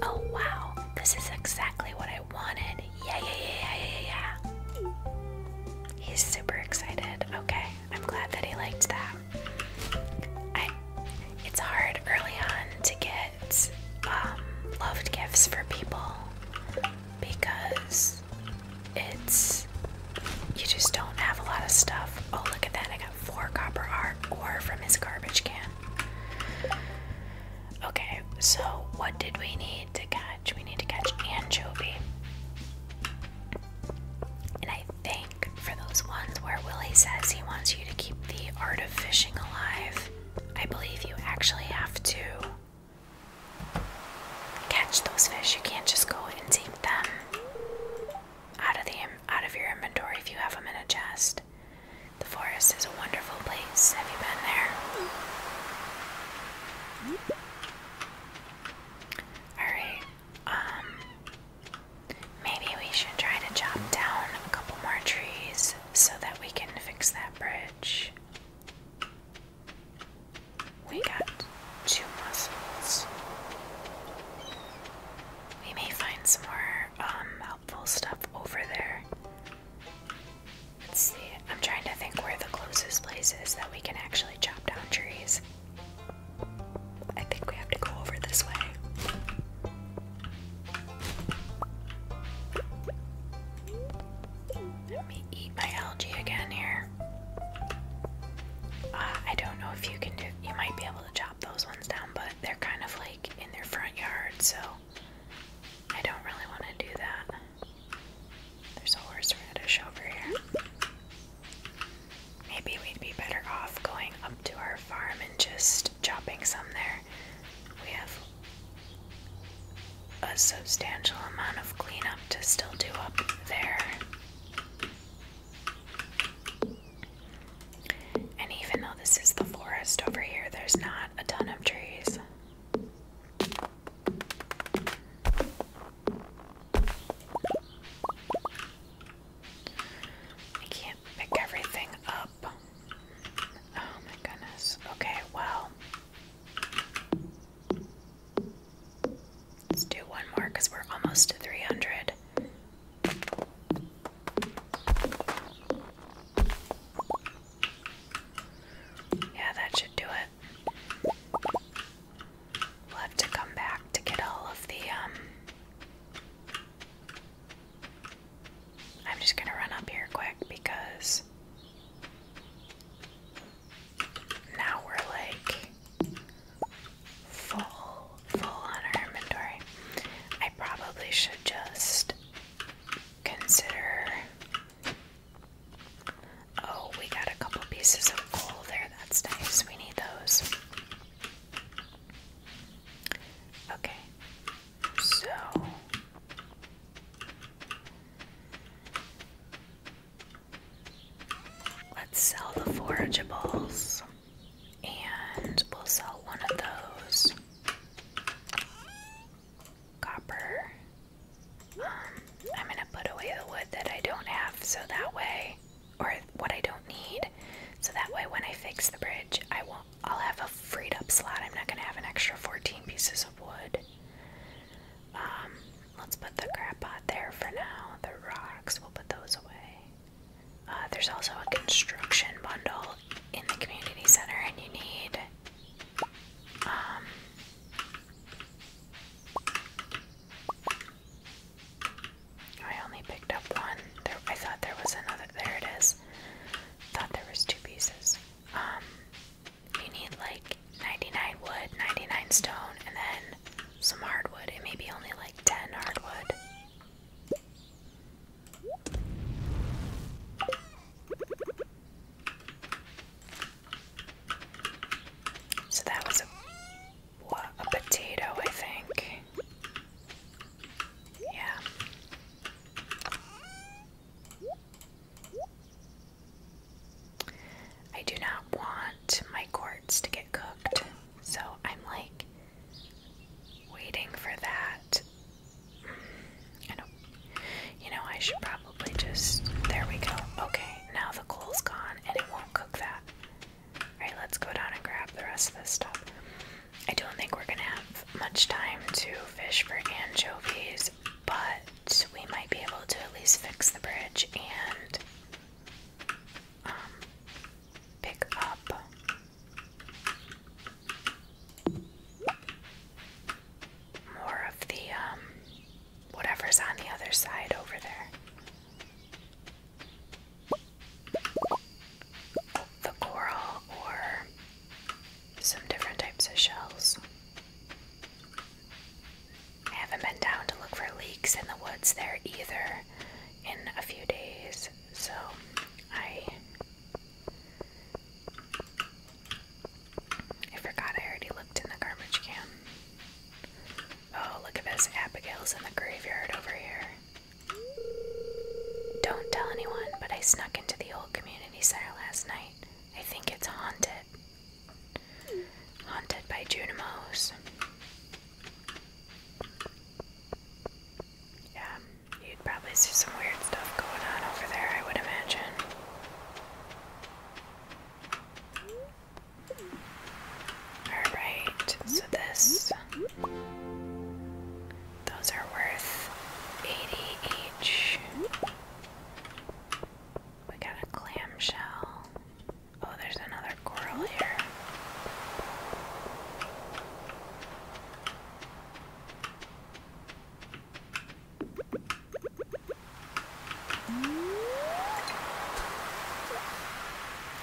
Oh wow, this is exactly what I wanted. Yeah, yeah, yeah, yeah, yeah, yeah. He's super excited. Okay, I'm glad that he liked that. it's hard early on to get um, loved gifts for people because it's you just don't have a lot of stuff. Oh, look at that! I got four copper art ore from his garbage can. Okay, so what did we need to catch? We need to catch anchovy. And I think for those ones where Willie says he wants you to keep the art of fishing alive, I believe you actually have to catch those fish. You can't just go and take them out of the out of your inventory if you have them in a chest. The forest is a wonderful place. Have you been there? All right. Um maybe we should try to chop down a couple more trees so that we can fix that bridge. We got two muscles. We may find some more um, helpful stuff over there. Let's see. I'm trying to think where the closest place is that we can actually chop down trees. I think we have to go over this way. Let me eat my algae again here. I don't know if you can do. You might be able to chop those ones down, but they're kind of like in their front yard, so I don't really want to do that. There's a horse radish over here. Maybe we'd be better off going up to our farm and just chopping some there. We have a substantial amount of cleanup to still do up there. And even though this is the forest over here, there's not a ton of trees. I can't pick everything up. Oh my goodness. Okay, well. Let's do one more because we're almost to 300. Yeah, that should do it. We'll have to come back to get all of the, um, I'm just gonna run up here quick because now we're like full, full on our inventory. I probably should just consider. Oh, we got a couple pieces of coal there. That's nice. We need those. Okay, so Let's sell the forageables and we'll sell one of those. Copper. Um, I'm going to put away the wood that I don't have so that way, or what I don't need, so that way when I fix the bridge, I won't, I'll have a freed up slot. I'm not going to have an extra 14 pieces of wood. Um, Let's put the crap there for now. The rocks, we'll put those away. Uh, there's also a construction bundle in the community center, and you need um, I only picked up one. I thought there was another. There it is. Thought there was two pieces. Um, you need like 99 wood, 99 stone, and then some hardwood. It may be only like 10 hardwood. So that was a potato, I think. Yeah. I do not want my quartz to get cooked. So I'm like waiting for that. I know. You know, I should probably just. There we go. Okay, now the coal's gone and it won't cook that. Alright, let's go down and grab the rest of this stuff. I don't think we're gonna have much time to fish for anchovies, but we might be able to at least fix the bridge and pick up more of the um, whatever's on the other side over there. The coral or some different types of shells. I haven't been down to look for leaks in the woods there either in a few days, so I forgot I already looked in the garbage can. Oh, look at this. Abigail's in the graveyard over here. Don't tell anyone, but I snuck into the old community center last night. I think it's haunted. Haunted by Junimos. Yeah, you'd probably see some weird stuff going on over there, I would imagine. Alright, so this. Those are worth 80 each. We got a clamshell. Oh, there's another coral here.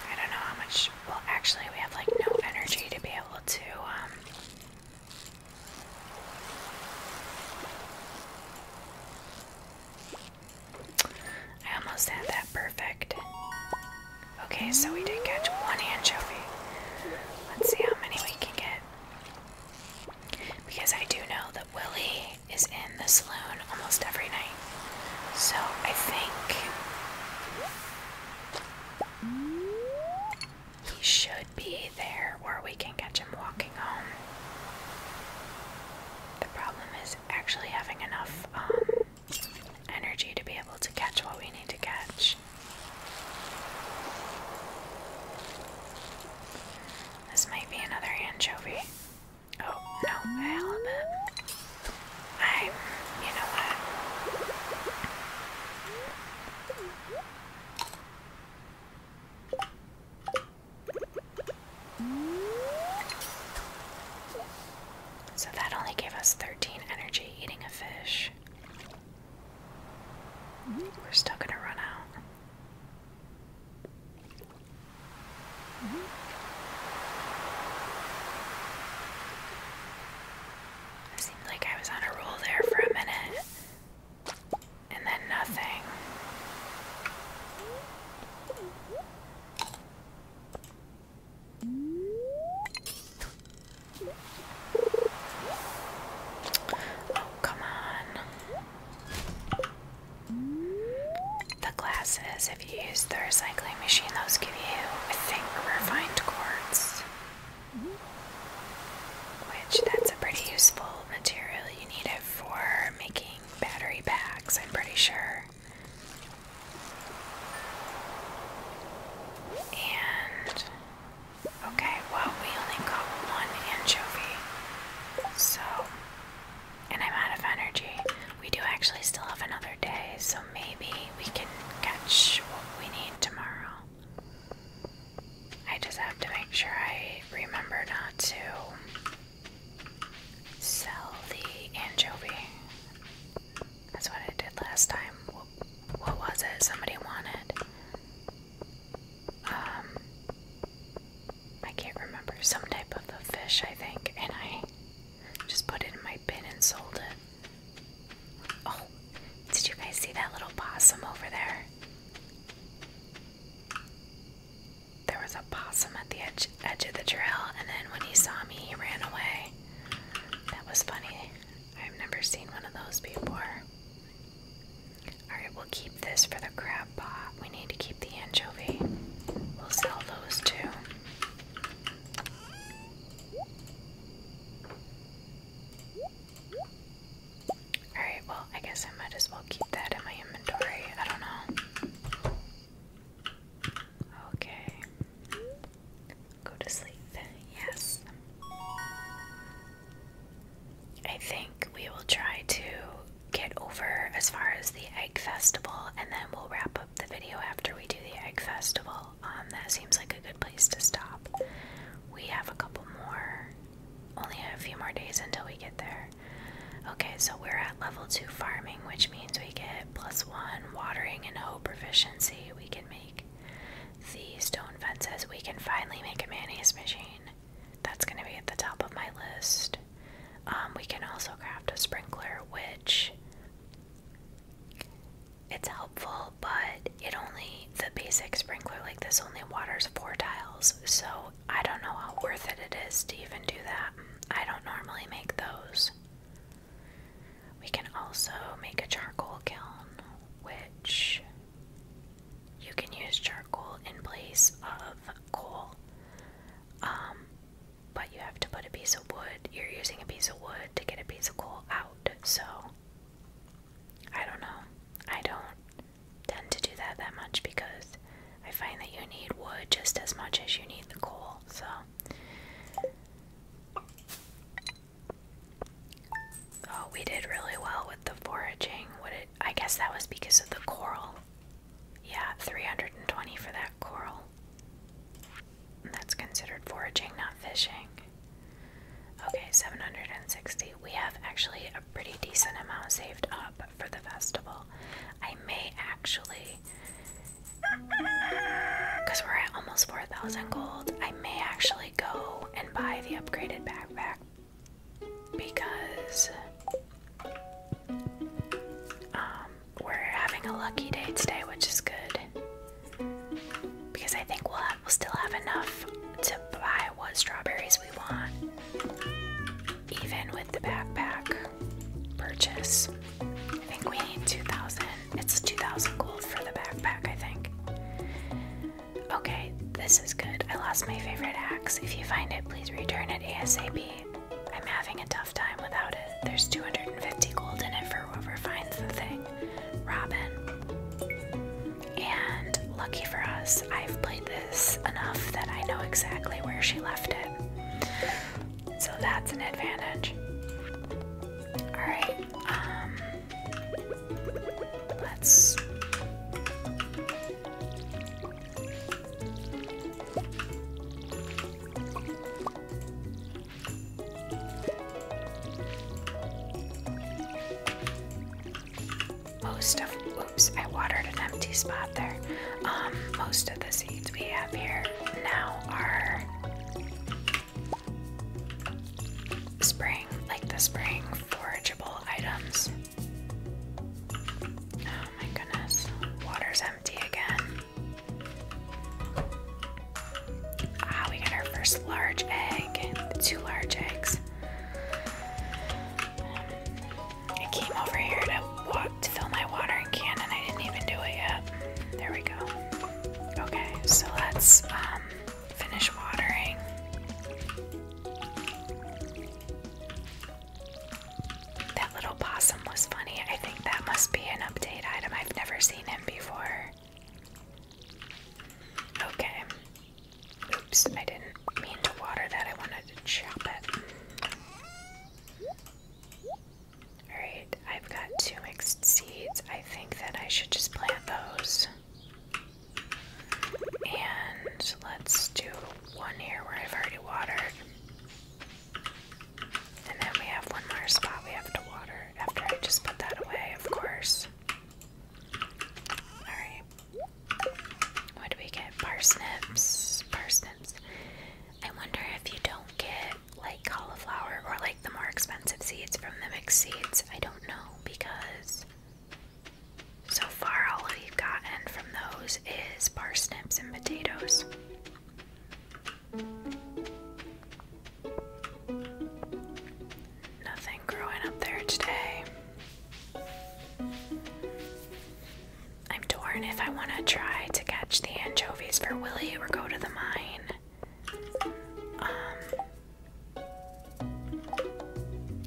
I don't know how much. actually, we have like no energy to be able to. Um, I almost had that perfect. Okay, so we did catch one anchovy. Let's see how many we can get. Because I do know that Willie is in the saloon almost every night. So I think he should be there where we can catch him walking home. The problem is actually having enough um, energy to be able to catch what we need to catch. This might be another anchovy. Oh, no, I'm, you know what? So that only gave us 13 energy eating a fish. We're still gonna run out. It seemed like I was on a roll there for a minute. And then nothing. Oh, come on. The glasses, if you use the recycling machine, those give you, I think, refined quartz. Which, that's a pretty useful material. You need it for making battery packs, I'm pretty sure. And okay, well we only got one anchovy. So and I'm out of energy. We do actually still have another day, so maybe we can catch what we need tomorrow. I just have to make sure I remember not to sell the anchovy. That's what I did last time. What, was it somebody wanted? Um, I can't remember. Some type of a fish, I think. And I just put it in my bin and sold it. Oh, did you guys see that little possum over there? There was a possum at the edge, edge of the trail, and then when he saw me, he ran away. That was funny. I've never seen one of those before. Alright, we'll keep this for the crab pot. We need to keep the anchovy. We'll sell those too. Alright, well, I guess I might as well keep that in my inventory. I don't know. Okay. Go to sleep. Yes. I think we will try to get over as far as the egg festival and then we'll wrap up the video after we do the egg festival. Um that seems like a good place to stop. We have a couple more only a few more days until we get there. Okay, so we're at level 2 farming, which means we get one watering and hoe proficiency we can make the stone fences we can finally make a mayonnaise machine that's going to be at the top of my list um, we can also craft a sprinkler which it's helpful but it only the basic sprinkler like this only waters four tiles so i don't know how worth it it is to even do that i don't normally make those we can also make a charcoal kiln, which you can use charcoal in place of coal. Um, but you have to put a piece of wood, you're using a piece of wood to get a piece of coal out, so I don't know. I don't tend to do that that much because I find that you need wood just as much as you need the coal, so Oh, we did really well with the foraging. I guess that was because of the coral. Yeah, 320 for that coral. That's considered foraging, not fishing. Okay, 760. We have actually a pretty decent amount saved up for the festival. I may actually because *laughs* we're at almost 4,000 gold, I may actually go and buy the upgraded backpack. Because um, we're having a lucky day today, which is good. Because I think we'll, have, we'll still have enough to buy what strawberries we want, even with the backpack purchase. I think we need 2,000. It's 2,000 gold for the backpack, I think. Okay, this is good. I lost my favorite axe. If you find it, please return it ASAP. I'm having a tough time without it. There's 250 gold in it for whoever finds the thing. Robin. And lucky for us, I've played this enough that I know exactly where she left it. So that's an advantage. Alright, um, let's. Most of, oops, I watered an empty spot there. Um, most of the seeds we have here now are spring, like the spring forageable items. Oh my goodness, water's empty again. Ah, we got our first large egg, two large eggs. I came over here to, fill my watering can and I didn't even do it yet. There we go. Okay, so let's um, finish watering. That little possum was funny. I think that must be an update item. I've never seen him before. Okay. Oops, I didn't mean to water that. I wanted to chop it. Alright, I've got two mixed seeds. I think that I should just plant those. And let's do one here where I've already watered. And then we have one more spot we have to water after I just put that away, of course. Alright. What do we get? Parsnips. Parsnips. I wonder if you don't get like cauliflower or like the more expensive seeds from the mixed seeds. I don't know because so far all we've gotten from those is parsnips and potatoes. Nothing growing up there today. I'm torn if I want to try to catch the anchovies for Willie or go to the mine. Um,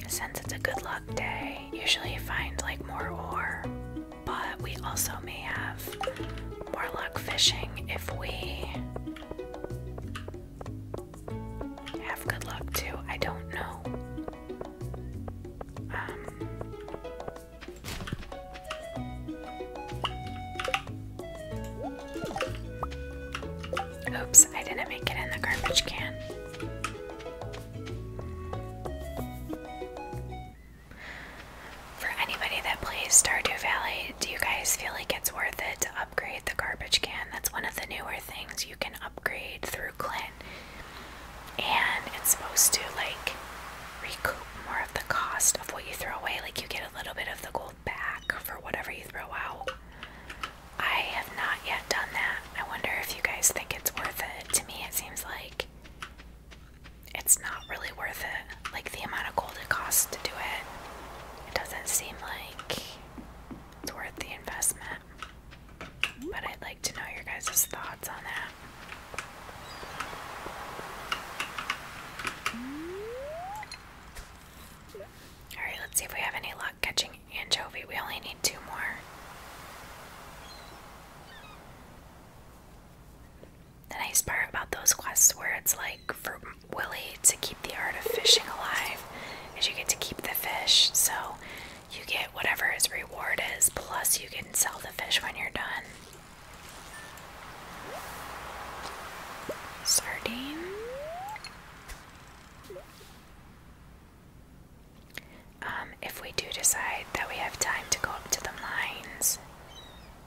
since it's a good luck day, usually you find like more ore, but we also may have more luck fishing if we have good luck too. I don't know. Um, Oops, I didn't make it in the garbage can. For anybody that plays Stardew Valley, do you guys feel like it's worth it to upgrade the garbage can? That's one of the newer things you can upgrade through Clint. And it's supposed to like recoup more of the cost of what you throw away. Like you get a little bit of the gold back for whatever you throw out. I have not yet done that. I wonder if you guys think it's worth it. To me, it seems like it's not really worth it. Like the amount of gold it costs to do it, it doesn't seem like it's worth the investment. But I'd like to know your guys' thoughts on that. Alright, let's see if we have any luck catching anchovy. We only need two more. The nice part about those quests where it's like for Willie to keep the art of fishing alive is you get to keep the fish. So you get whatever his reward is, plus you can sell the fish when you're done. Sardine. Um, if we do decide that we have time to go up to the mines,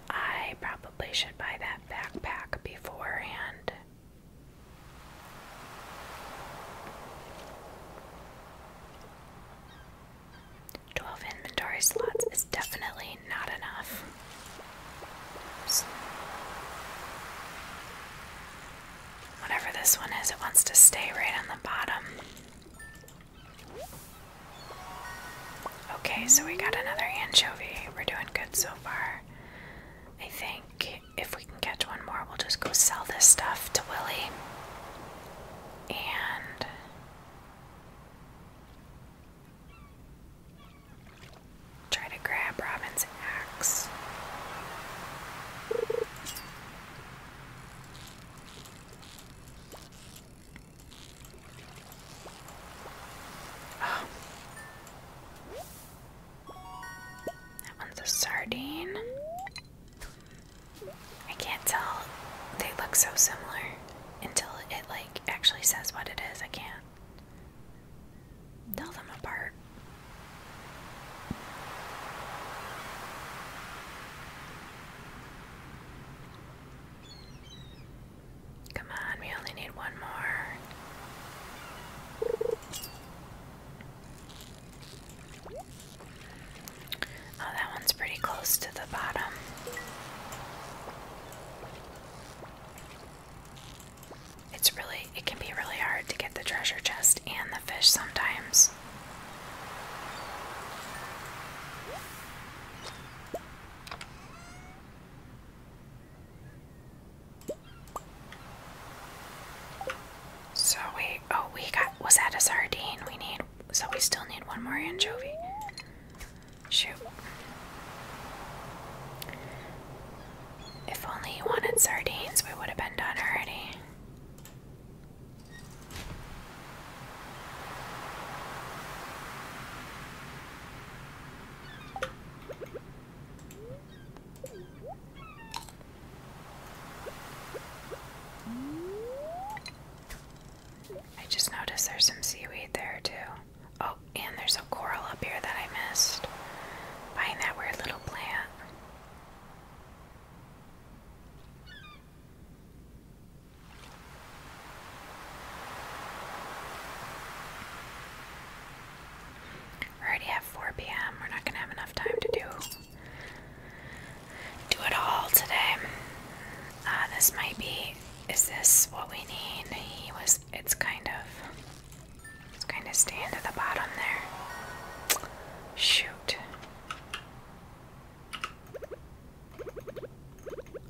I probably should buy that backpack beforehand. Twelve inventory slots is definitely not enough. Whatever this one is, it wants to stay right on the bottom. Okay, so we got another anchovy. We're doing good so far. I think if we can catch one more, we'll just go sell this stuff to Willie. And Try to grab Robin's axe. Oh. That one's a sardine. I can't tell. They look so similar until it like actually says what it is. I can't. Tell them apart. Come on, we only need one more. Oh, that one's pretty close to the bottom. It's really, it can be really hard to get the treasure chest and the fish sometimes. So we, oh, we got, was that a sardine? We need, so we still need one more anchovy. Shoot. If only you wanted sardines, we would have been done already. I just noticed there's some seaweed there, too. Oh, and there's a coral up here that I missed. Buying that weird little plant. already have 4 p.m. We're not going to have enough time to do do it all today. Uh, this might be. Is this what we need? He was. It's kind of. It's kind of stand at the bottom there. Shoot.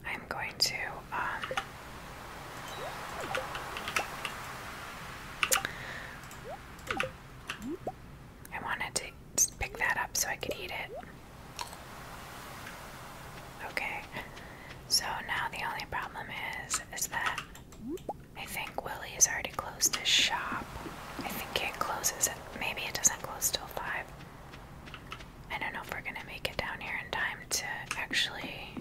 I'm going to, um, I wanted to pick that up so I could eat it. Okay. So now the only problem is, is that I think Willie has already closed his shop. I think it closes, at maybe it doesn't close till 5. I don't know if we're gonna make it down here in time to actually.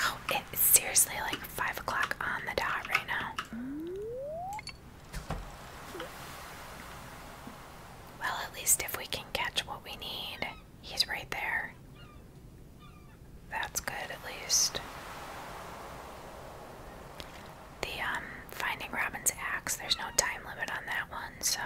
Oh, it's seriously like 5 o'clock on the dot right now. Well, at least if we can catch what we need, he's right there. That's good, at least. The um, Finding Robin's axe, there's no time limit on that one, so.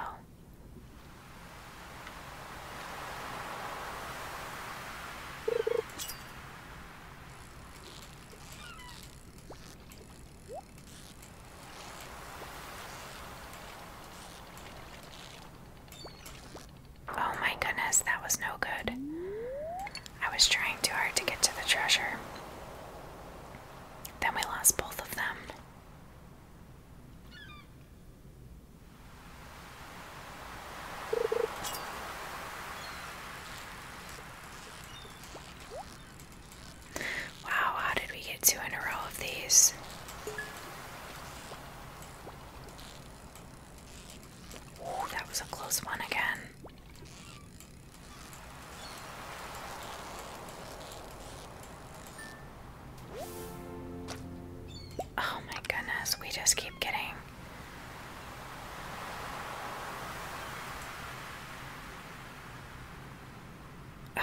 Oh my goodness, that was no good. I was trying too hard to get to the treasure. Then we lost both of them. Wow, how did we get two in a row of these? Ooh, that was a close one again. Oh my goodness, we just keep getting. *sighs*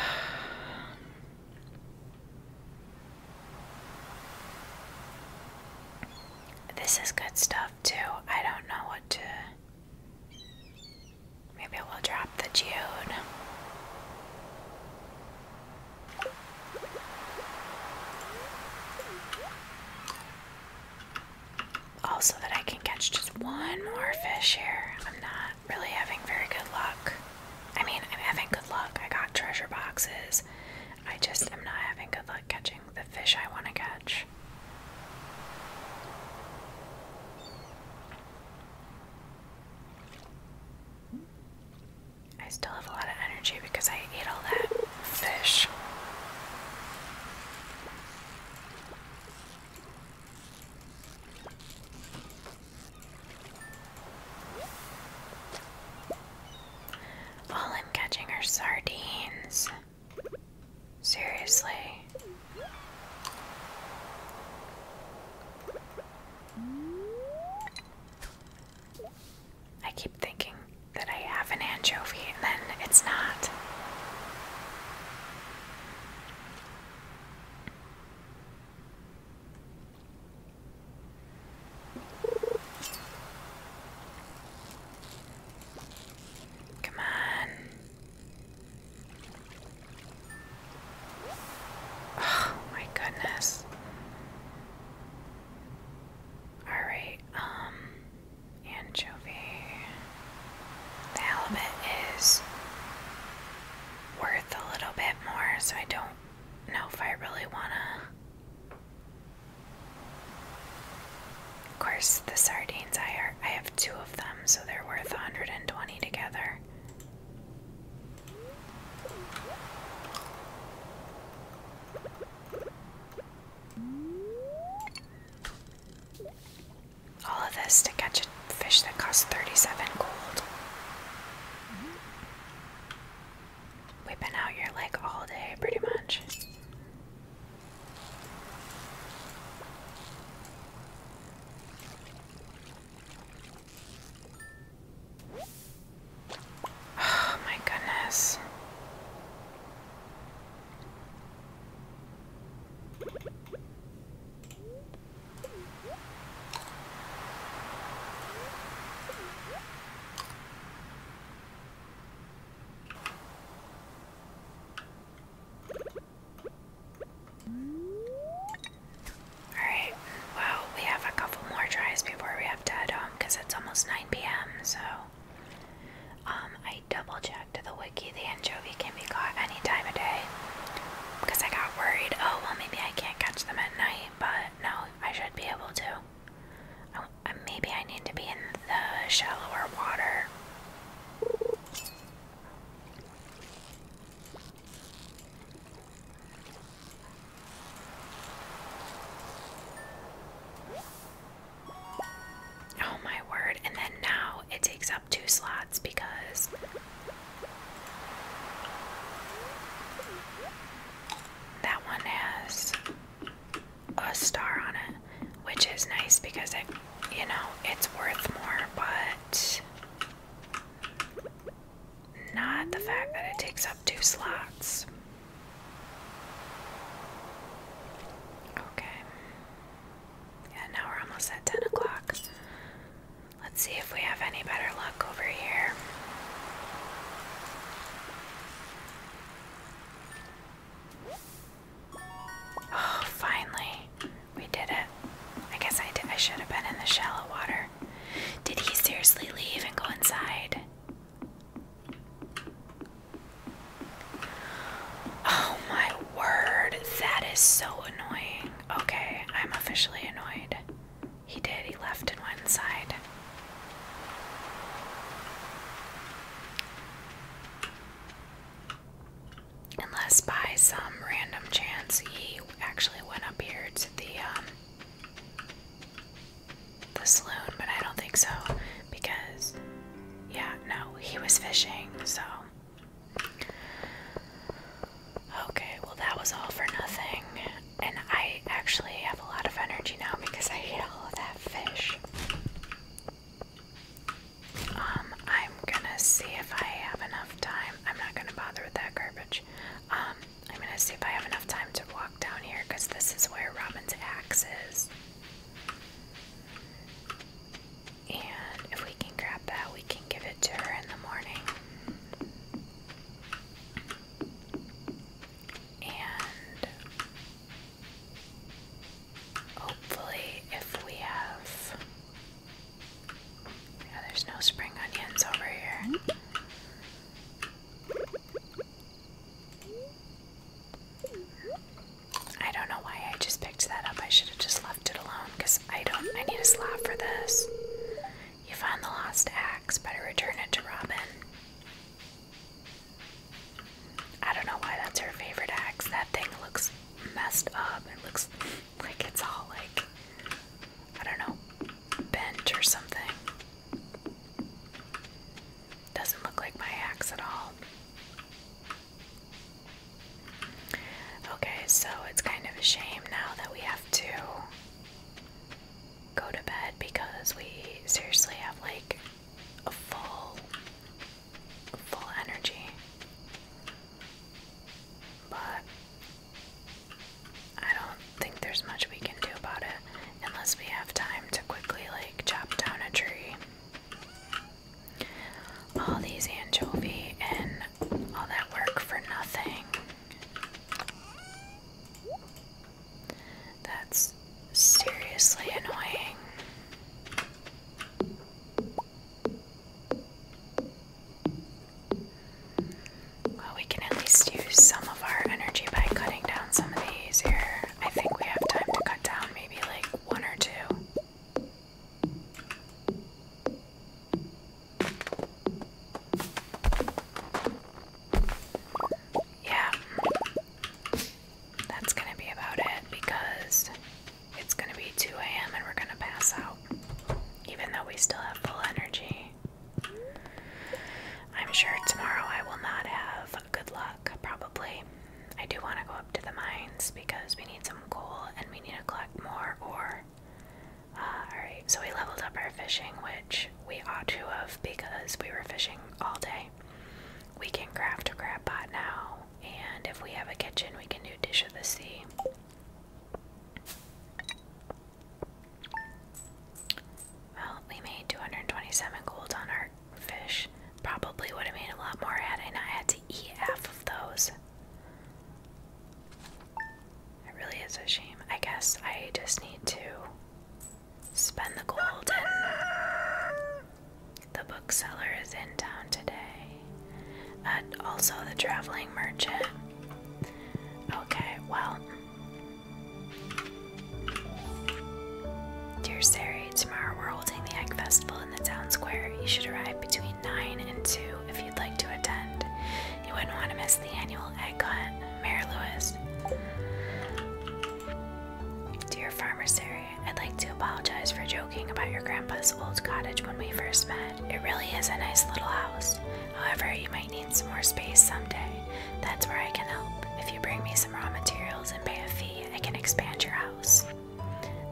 This is good stuff too. I don't know what to. Maybe we'll drop the geode. Also, that I can catch just one more fish here. I'm not really having very good luck. I mean, I'm having good luck. I got treasure boxes. I just am not having good luck catching the fish I want to catch. I still have a lot of energy because I ate all that fish. All I'm catching are sardines. Seriously. I keep thinking that I have an anchovy and then it's not. Come on. Oh my goodness. Alright, um, anchovy. The halibut is worth a little bit more, so I don't know if I really want to. Of course, the sardines, I, have two of them, so they're worth 120 together. All of this to catch fish that cost 37 gold. We've been out here like all day pretty much. Oh my goodness. Alright, well, we have a couple more tries before we have to head home um, because it's almost 9 p.m. So, um, I double checked the wiki. The anchovy can be caught any time of day because I got worried. Oh, well, maybe I can't catch them at night, but no, I should be able to. Oh, uh, maybe I need to be in the shallower water. Oh my word, and then now it takes up two slots because that one has a star on it, which is nice because it, you know, it's worth more, but not the fact that it takes up two slots. Okay. Yeah, now we're almost at 10 o'clock. Let's see if we have any better luck over here. Oh, finally. We did it. I guess I, did, I should have been in the shallow water. Did he seriously leave and go inside? Oh my word, that is so annoying. Okay, I'm officially annoyed. He did, he left in one side. Unless by some random chance he actually went up here to the um, the saloon, but I don't think so because yeah, no, he was fishing, so Okay, well, that was all for nothing. And I actually have a lot of energy now because I ate all of that fish. Um, I'm gonna see if I have enough time. I'm not gonna bother with that garbage. Um, I'm gonna see if I have enough time to walk down here because this is where Robin's axe is. And if we can grab that, we can give it to her in the morning. And hopefully, if we have. Yeah, there's no spring onions over here. I don't know why I just picked that up. I should have just left it alone because I don't. I need a slab for this. You find the lost axe, better return it to Robin. I don't know why that's her favorite axe. That thing looks messed up. It looks like it's all like, I don't know, bent or something. Doesn't look like my axe at all. Okay, so it's kind of a shame now that we have to go to bed because we seriously have like a full full energy. But I don't think there's much we can do about it unless we have time to quickly like chop down a tree. All these anchovy and all that work for nothing. That's seriously annoying. Well, we can at least use some of our energy by cutting down some of these here. I think we have time to cut down maybe like one or two. Yeah. That's gonna be about it because it's gonna be 2 a.m. and we're gonna pass out. Even though we still have full energy. I'm sure tomorrow I will not have good luck, probably. I do want to go up to the mines because we need some coal and we need to collect more ore. Uh, alright, so we leveled up our fishing, which we ought to have because we were fishing all day. We can craft a crab pot now, and if we have a kitchen, we can do Dish of the Sea. Well, we made 227 gold on our fish. Probably would have made a lot more had I not had to eat half of those. It really is a shame. I guess I just need to spend the gold the bookseller is in town today. but also the traveling merchant. Okay, well. Dear Sari, tomorrow we're holding the egg festival in the town square. You should arrive between 9 and 2 if you'd like to attend. You wouldn't want to miss the annual egg hunt. Mayor Lewis. Dear Farmer Sari, I'd like to apologize for joking about your grandpa's old cottage when we first met. It really is a nice little house. However, you might need some more space someday. That's where I can help. If you bring me some raw materials and pay a fee, I can expand your house.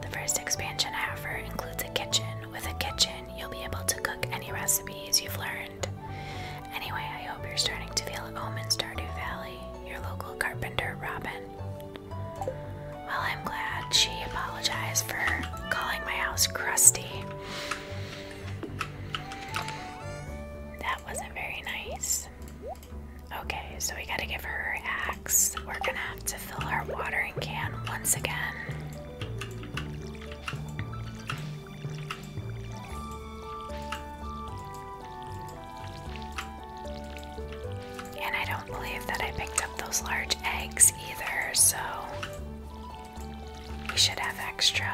The first expansion I offer includes a kitchen. With a kitchen, you'll be able to cook any recipes you've learned Anyway, I hope you're starting to feel at home in Stardew Valley, your local carpenter, Robin. Well, I'm glad she apologized for calling my house crusty. That wasn't very nice. Okay, so we gotta give her her axe. We're gonna have to fill our watering can once again. And I don't believe that I picked up those large eggs either, so we should have extra.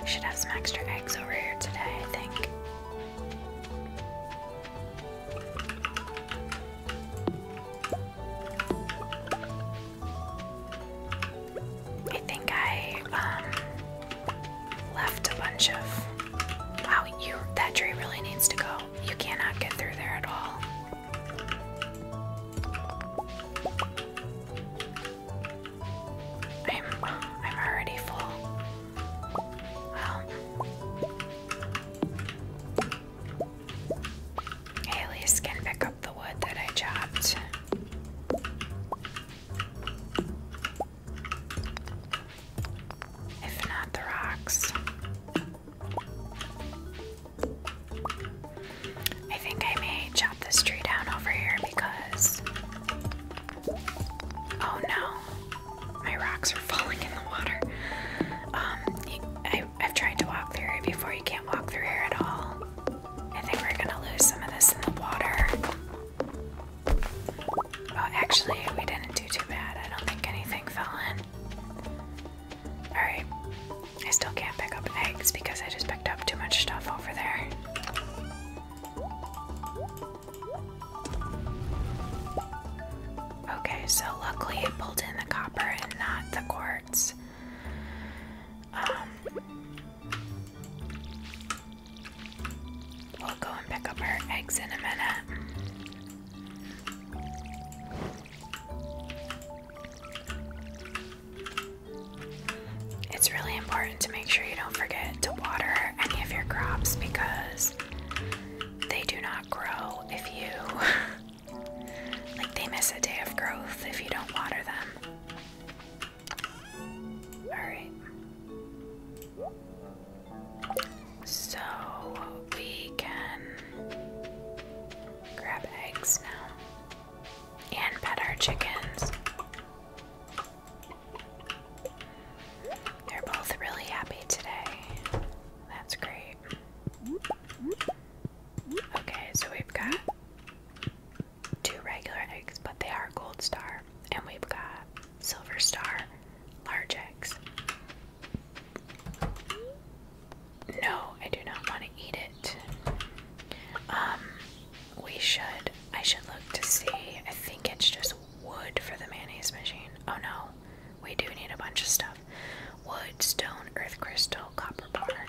We should have some extra eggs over here today, I think. I think I um, left a bunch of. Wow, you that tree really needs to go. You cannot get through there at all. I'm I'm already full. Well, Alias can pick up the wood that I chopped. If not the rocks. I think I may chop this tree down over here because. Oh no, my rocks are *laughs* falling in the water. Um, I I, have tried to walk through here before. You can't walk through here at all. I think we're gonna lose some of this in the water. Well, actually, we didn't do too bad. I don't think anything fell in. Alright. I still can't pick up eggs because I just picked up too much stuff over there. Okay, so luckily it pulled in the copper and not the core um, we'll go and pick up our eggs in a minute. It's really important to make sure you don't forget to water any of your crops because they do not grow if you *laughs* Like they miss a day of growth if you don't water them. Alright. So we can grab eggs now and pet our chickens. They're both really happy today. That's great. Okay, so we've got two regular eggs, but they are gold star, and we've got silver star large eggs. No, I do not want to eat it. Um, we should, I should look to see. I think it's just wood for the mayonnaise machine. Oh no, we do need a bunch of stuff wood, stone, earth crystal, copper bar.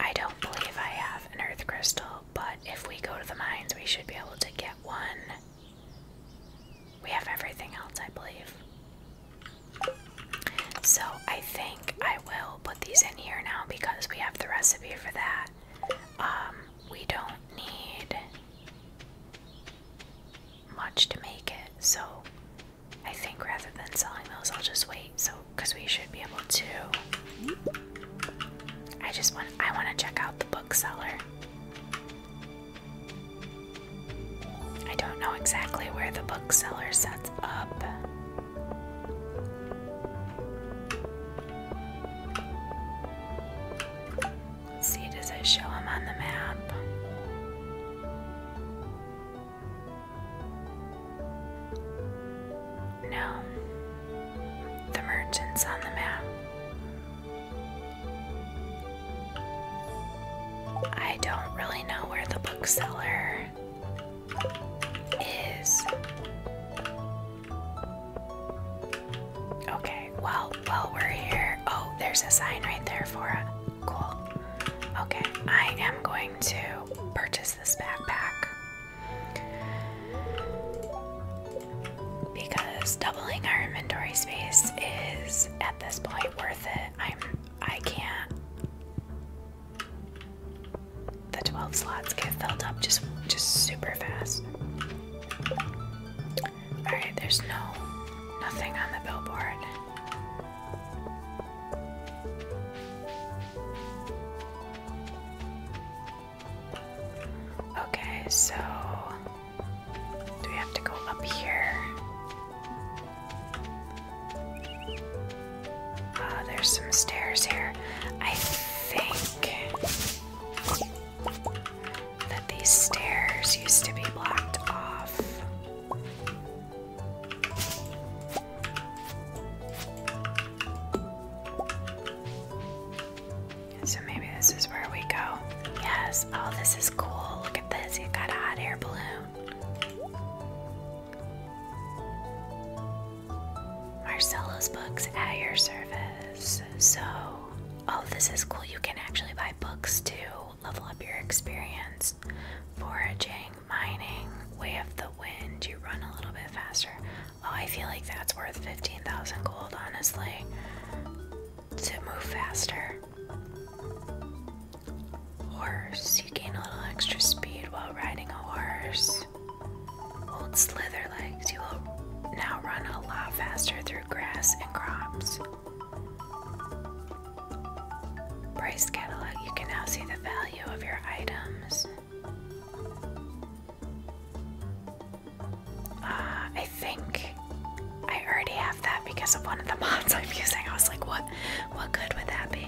I don't believe I have an earth crystal, but if we go to the mines, we should be able to get one. We have everything else, I believe. So I think I will put these in here now because we have the recipe for that. Um, we don't need much to make it, so I think rather than selling those, I'll just wait. So, because we should be able to. I just want. I want to check out the bookseller. I don't know exactly where the bookseller sets up. see, does it show him on the map? No, the merchants on the map. I don't really know where the bookseller is. Okay, well, while we're here, oh, there's a sign right there for it. Cool. Okay, I am going to purchase this backpack because doubling our inventory space is at this point worth it. I'm I can't the 12 slots get filled up just just super fast. Alright, there's no nothing on the billboard. Okay, so do we have to go up here? Uh, there's some stairs here. I think that these stairs used to be blocked off. So maybe this is where we go. Yes. Oh, this is cool. Look at this. You got a hot air balloon. Marcelo's books at your service. So, oh, this is cool. You can actually buy books to level up your experience foraging mining, way of the wind. You run a little bit faster. Oh, I feel like that's worth 15,000 gold, honestly, to move faster. Horse. You gain a little extra speed while riding a horse. Old slither legs. You will now run a lot faster through grass and crops. Price catalog, you can now see the value of your items. Uh, I think I already have that because of one of the *laughs* mods I'm using. I was like, what what good would that be?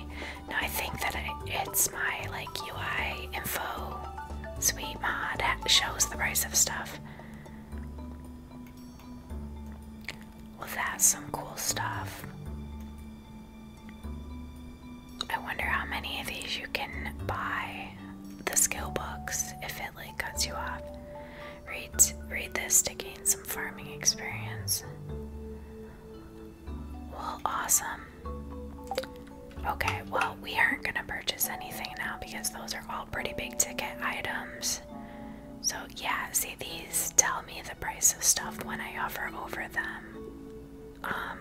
No, I think that it's my like UI info suite mod that shows the price of stuff. Well, that's some cool stuff. I wonder how many of these you can buy the skill books if it like cuts you off. Read read this to gain some farming experience. Well, awesome. Okay, well, we aren't going to purchase anything now because those are all pretty big ticket items. So, yeah, see, these tell me the price of stuff when I offer over them. Um,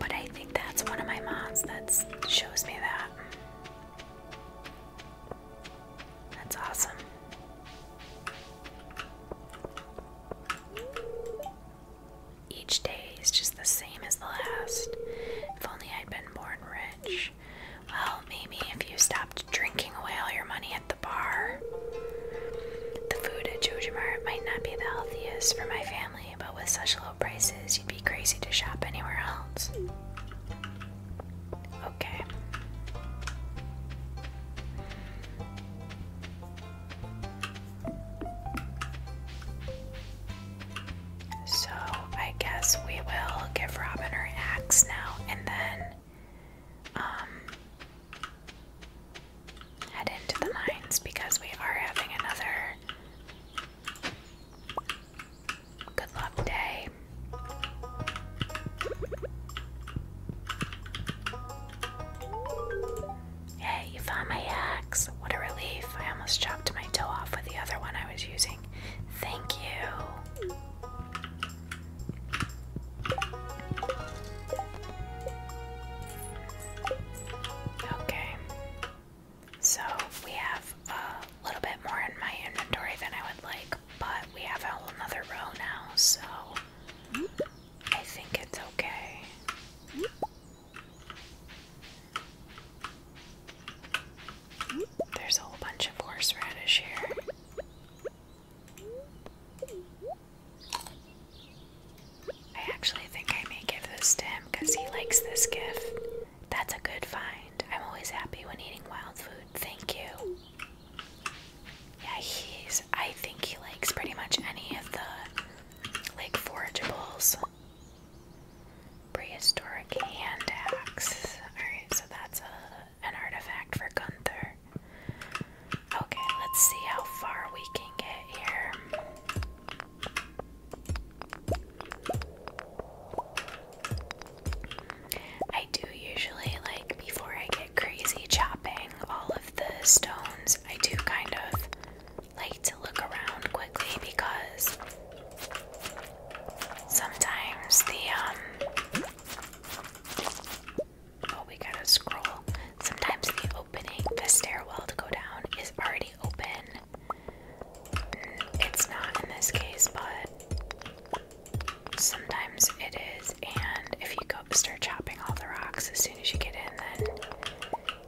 but I think that's one of my mods that shows me that. That's awesome. Each day is just the same as the last. If only I'd been born rich. Well, maybe if you stopped drinking away all your money at the bar. The food at JoJo Mart might not be the healthiest for my family, but with such low prices, you'd be crazy to shop anywhere else. Okay. So I guess we will give Robin her axe now and then um, head into the mines because we are having another good luck day. Hey, you found my axe. What a relief. I almost chopped my toe off with the other one I was using. Thank you. Okay, so we have a little bit more in my inventory than I would like, but we have a whole nother row now, so I think it's okay. There's a whole bunch of horseradish here. I actually think I may give this to him because he likes this gift. That's a good find. I'm always happy when eating wild food. Thank you. Yeah, he's. I think he likes pretty much any of the like forageables. Prehistoric hand axe. Alright, so that's a an artifact for Gunther. Okay, let's see how far we can get here. I do usually, like, before I get crazy chopping all of the stones, I do kind of like to look around quickly because sometimes the, um, Oh, we gotta scroll. Sometimes the opening, the stairwell to go down, is already open. It's not in this case, but sometimes it is. And if you go start chopping all the rocks as soon as you get in, then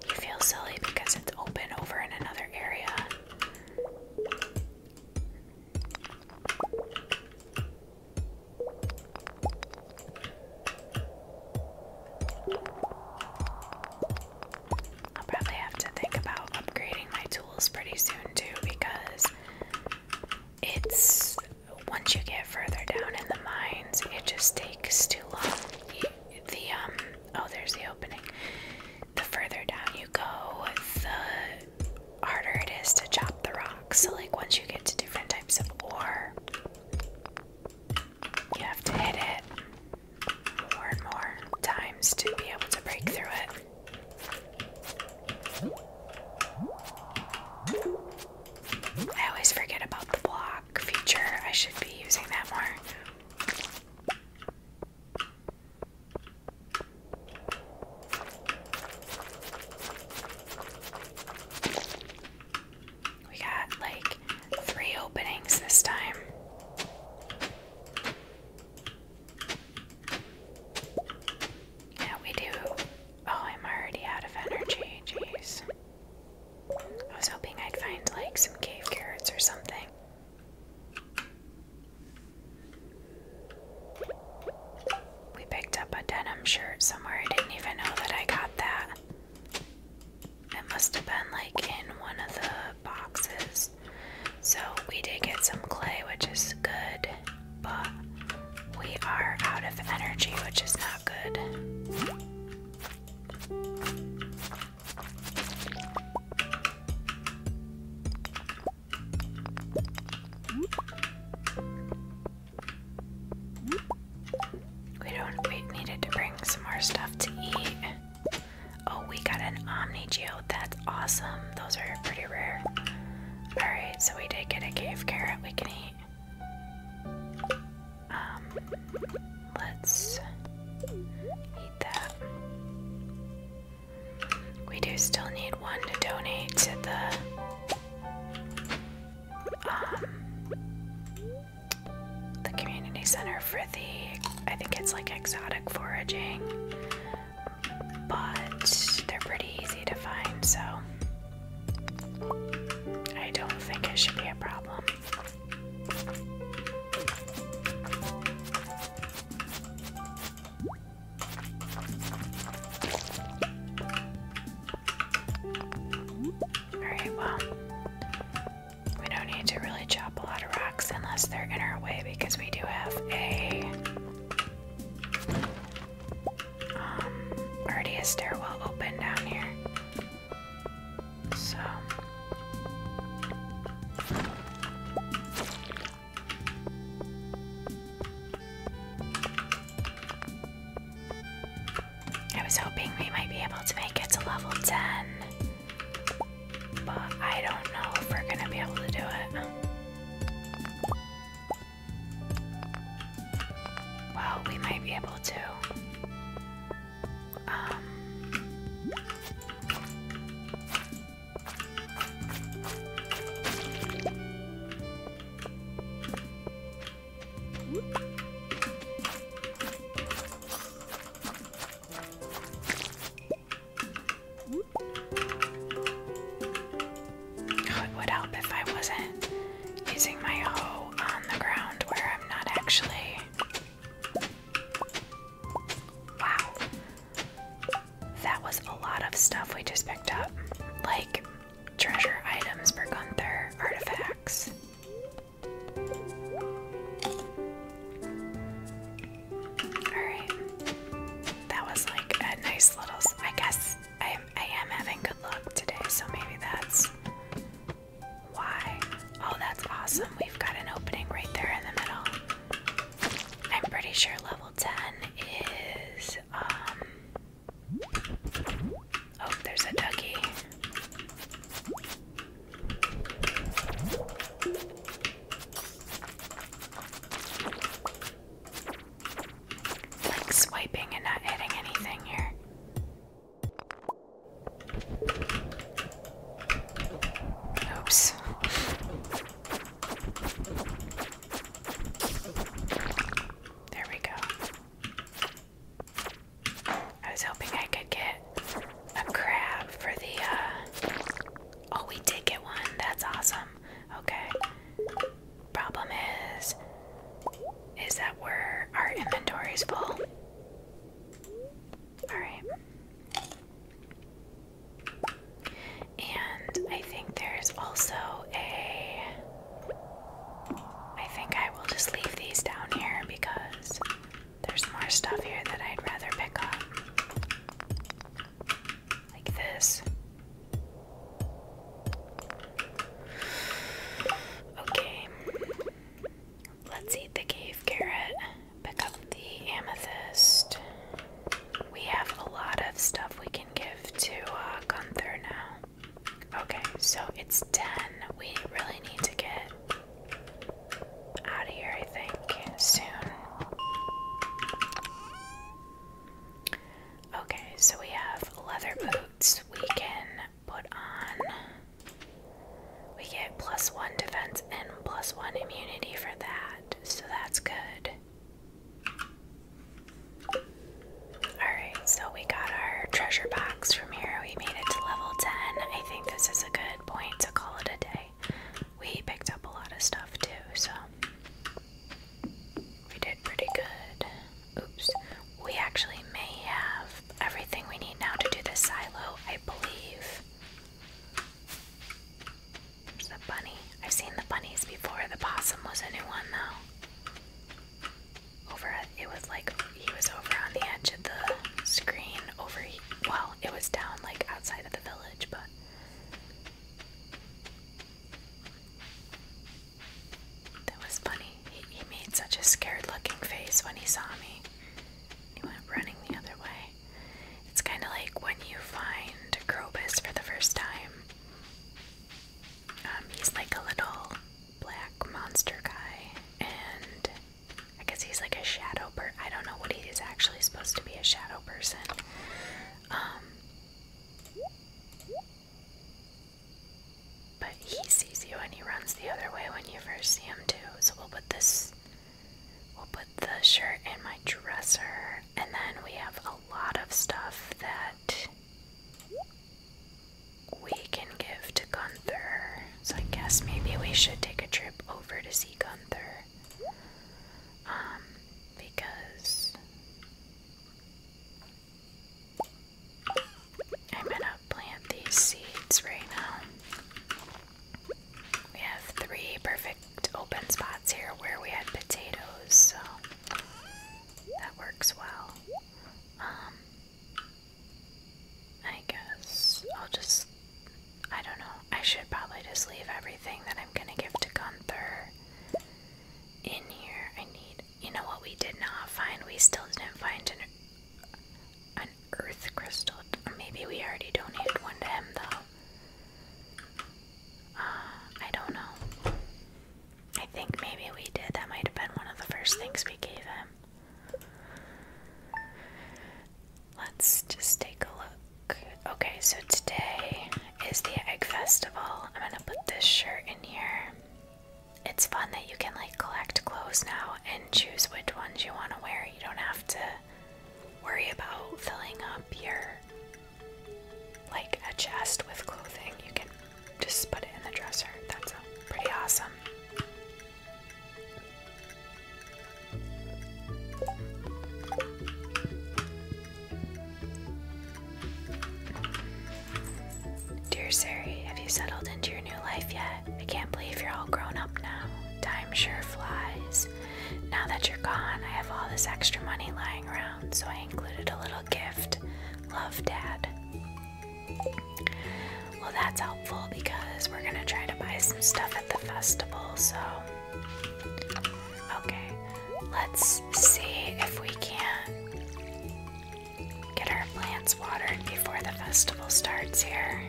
you feel silly because it's open over in another area. I'll probably have to think about upgrading my tools pretty soon too because it's once you get further down in the mines, it just takes too long. The um oh, there's the opening. The further down you go, the harder it is to chop the rock. So, like, once you get to different types of ore, you have to hit it more and more times to be able to break through it. I always forget about the block feature. I should be using that more. We got like three openings this time. Yeah, we do. Oh, I'm already out of energy. Jeez. I was hoping I'd find like some cave carrots or something. We picked up a denim shirt somewhere. I didn't even know that I got that. It must have been like in one of the boxes. So we did get some clay, which is good, but we are out of energy, which is not good. We don't we needed to bring some more stuff to eat. Oh, we got an Omni Geode. That's awesome. Those are pretty rare. Alright, so we did get a cave carrot we can eat. Um, let's eat that. We do still need one to donate to the the community center for the, I think it's like exotic foraging, but they're pretty easy to find, so I don't think it should be a problem. Alright, well, we don't need to really chop a lot of rocks unless they're in our way because we do have a. Um, already a stairwell open down here. So. I was hoping we might be able to make it to level 10, but I don't know if we're gonna be able to do it. Well, we might be able to. Um, it would help if I wasn't using my hoe on the ground where I'm not actually. Wow. That was a lot of stuff we just picked up. Like, Treasure items for Gunther, artifacts. Alright. That was like a nice little. I guess I, am having good luck today, so maybe that's why. Oh, that's awesome. We've got an opening right there in the middle. I'm pretty sure level 10 is. Um, Oh, there's a ducky. Like swiping and not hitting anything here. Oops. There we go. I was hoping I could get a crab for the, uh, oh, we did get one. That's awesome. Okay. Problem is, is that we're, our inventory's full. Alright. And I think there's also a I think I will just leave these down here because there's more stuff here that I'd rather pick up. Like this. Okay. Let's eat the cave carrot. Pick up the amethyst. We have a lot of stuff we can give to uh, Gunther now. Okay, so it's 10. We really need to get out of here, I think, soon. Okay, so we have leather boots. We can put on. We get plus one defense and plus one immunity for that, so that's good. Alright, so we got our treasure box from here. We made it to level 10. I think this is a good point to call it a day. We picked up a lot of stuff too, so we did pretty good. Oops. We actually may have everything we need now to do the silo, I believe. the bunny. I've seen the bunnies before. The possum was a new one though over at, it was like he was over on the edge of the screen over well it was down like outside of the village but that was funny he, made such a scared looking face when he saw me he went running the other way it's kind of like when you find Crobus for the first time um, he's like a little black monster guy, and I guess he's like a shadow But I don't know what he is actually supposed to be a shadow person. Um, but he sees you and he runs the other way when you first see him too. So we'll put this, we'll put the shirt in my dresser, and then we have a lot of stuff that we can give to Gunther. So I guess maybe we should take a trip over to see Gunther. Um, because I'm gonna plant these seeds right now. We have three perfect open spots here where we had potatoes, so that works well. Um, I guess I'll just. I don't know. I should probably just leave everything that I'm gonna give to Gunther in here. I need. You know what we did not find? We still didn't find an, an earth crystal. maybe we already donated one to him, though. Uh, I don't know. I think maybe we did. That might have been one of the first things we gave him. Let's just take a look. Okay, so today is the egg festival. I'm gonna put this shirt in here. It's fun that you can like collect clothes now and choose which ones you want to wear. You don't have to worry about filling up your like a chest with clothing. You can just put it in the dresser. That's pretty awesome. Dear Sari, have you settled into your new life yet? I can't believe you're all grown up now. Time sure flies. Now that you're gone, I have all this extra money lying around, so I included a little gift. Love, Dad. Well, that's helpful because we're gonna try to buy some stuff at the festival, so. Okay, let's see if we can get our plants watered before the festival starts here.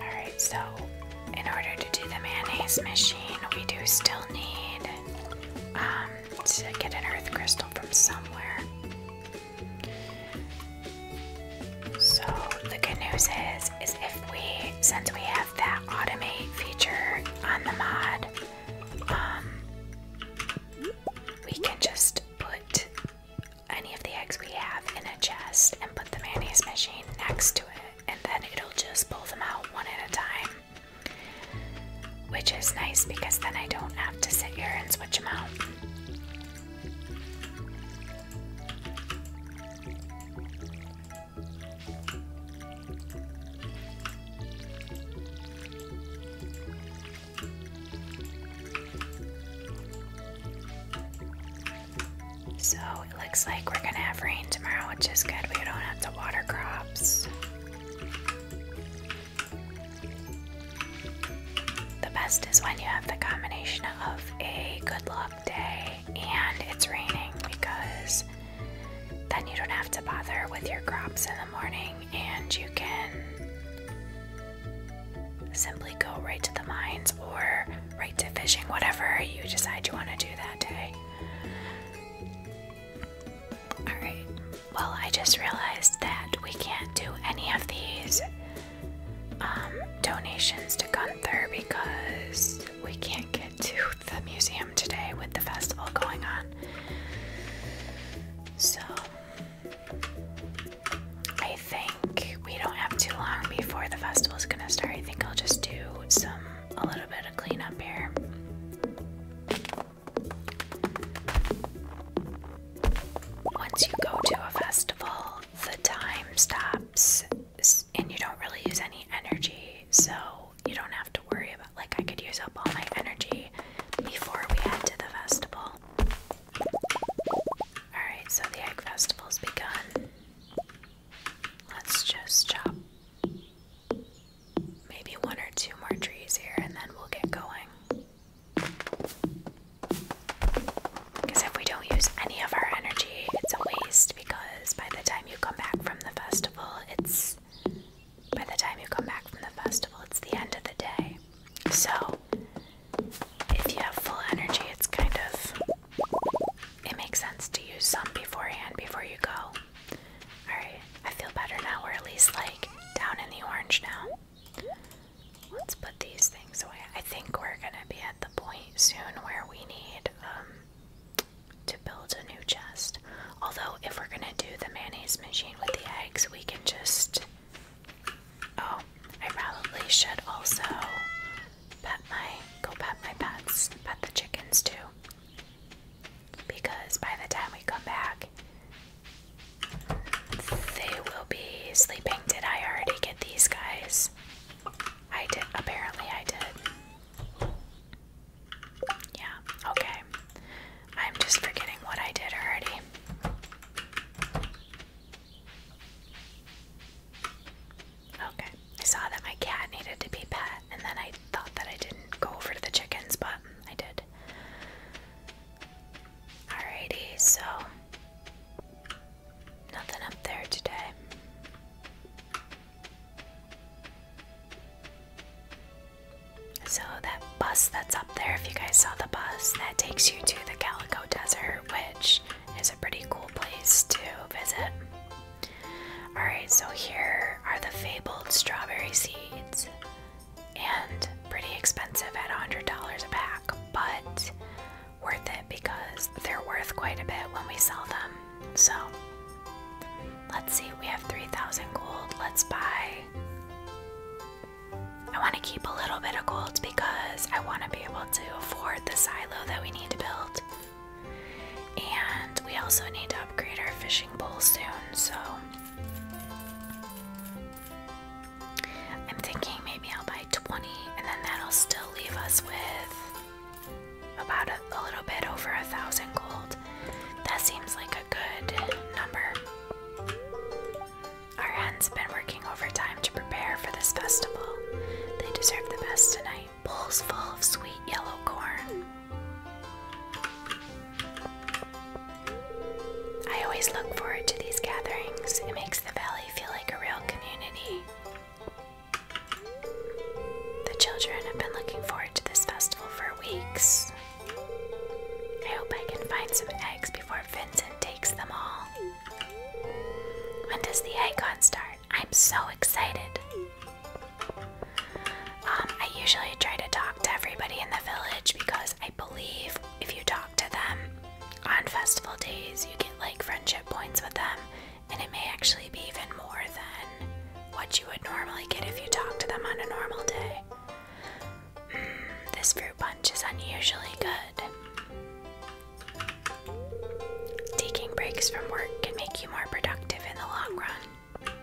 Alright, so in order to do the mayonnaise machine, we do still need um, to get an earth crystal from somewhere. So the good news is, is if we, since we have that automate feature on the mod, um, we can just put any of the eggs we have in a chest and put the mayonnaise machine next to it, and then it'll just pull them out one at a time. Which is nice because then I don't have to sit here and switch them out. So it looks like we're gonna have rain tomorrow, which is good. We don't have to water crops. The best is when you have the combination of a good luck day and it's raining because then you don't have to bother with your crops in the morning and you can simply go right to the mines or right to fishing, whatever you decide you want to do that day. Alright, well, I just realized that we can't do any of these um, donations to Gunther because we can't get to the museum today with the festival going on. So, I think we don't have too long before the festival is gonna start. I think I'll just do some a little bit of cleanup here. Once you go to a festival, the time stops and you don't really use any energy, so you don't have to worry about like I could use up all my energy before we head to the festival. Alright, so the egg festival's begun. Let's just chop maybe one or two more trees here and then we'll get going. Because if we don't use any of our energy, it's a waste because by the time you come back from the festival, it's by the time you come back from the festival, it's the end of the day. So, if you have full energy, it's kind of. It makes sense to use some beforehand before you go. Alright, I feel better now. or at least like down in the orange now. Let's put these things away. I think we're gonna be at the point soon where we need um, to build a new chest. Although, if we're gonna do the mayonnaise machine with the eggs, we can just Oh, I probably should also pet my go pet my pets, pet the chickens too. Because by the time we come back, they will be sleeping. Did I already get these guys? I did. Apparently, I did. Yeah, okay. I'm just forgetting what I did already. Okay, I saw that my cat needed to be pet, and then I thought that I didn't go over to the chickens, but I did. Alrighty, so nothing up there today. So that bus that's up there, if you guys saw the bus, that takes you to the Calico Desert, which is a pretty cool place to visit. Alright, so here are the fabled strawberry seeds, and pretty expensive at $100 a pack, but worth it because they're worth quite a bit when we sell them. So, let's see, we have 3,000 gold. Let's buy. I want to keep a little bit of gold because I want to be able to afford the silo that we need to build. And we also need to upgrade our fishing pole soon, so I'm thinking maybe I'll buy 20, and then that'll still leave us with about a little bit over a thousand gold. That seems like a good number. Our hens have been working overtime to prepare for this festival. They deserve the best tonight. Bowls full of sweet yellow corn. I always look forward to these gatherings. It makes the valley feel like a real community. The children have been looking forward to this festival for weeks. I hope I can find some eggs before Vincent takes them all. When does the icon start? I'm so excited. Um, I usually try to talk to everybody in the village because I believe if you talk to them on festival days, you get like friendship points with them, and it may actually be even more than what you would normally get if you talk to them on a normal day. Hmm, this fruit punch is unusually good. Taking breaks from work can make you more productive in the long run.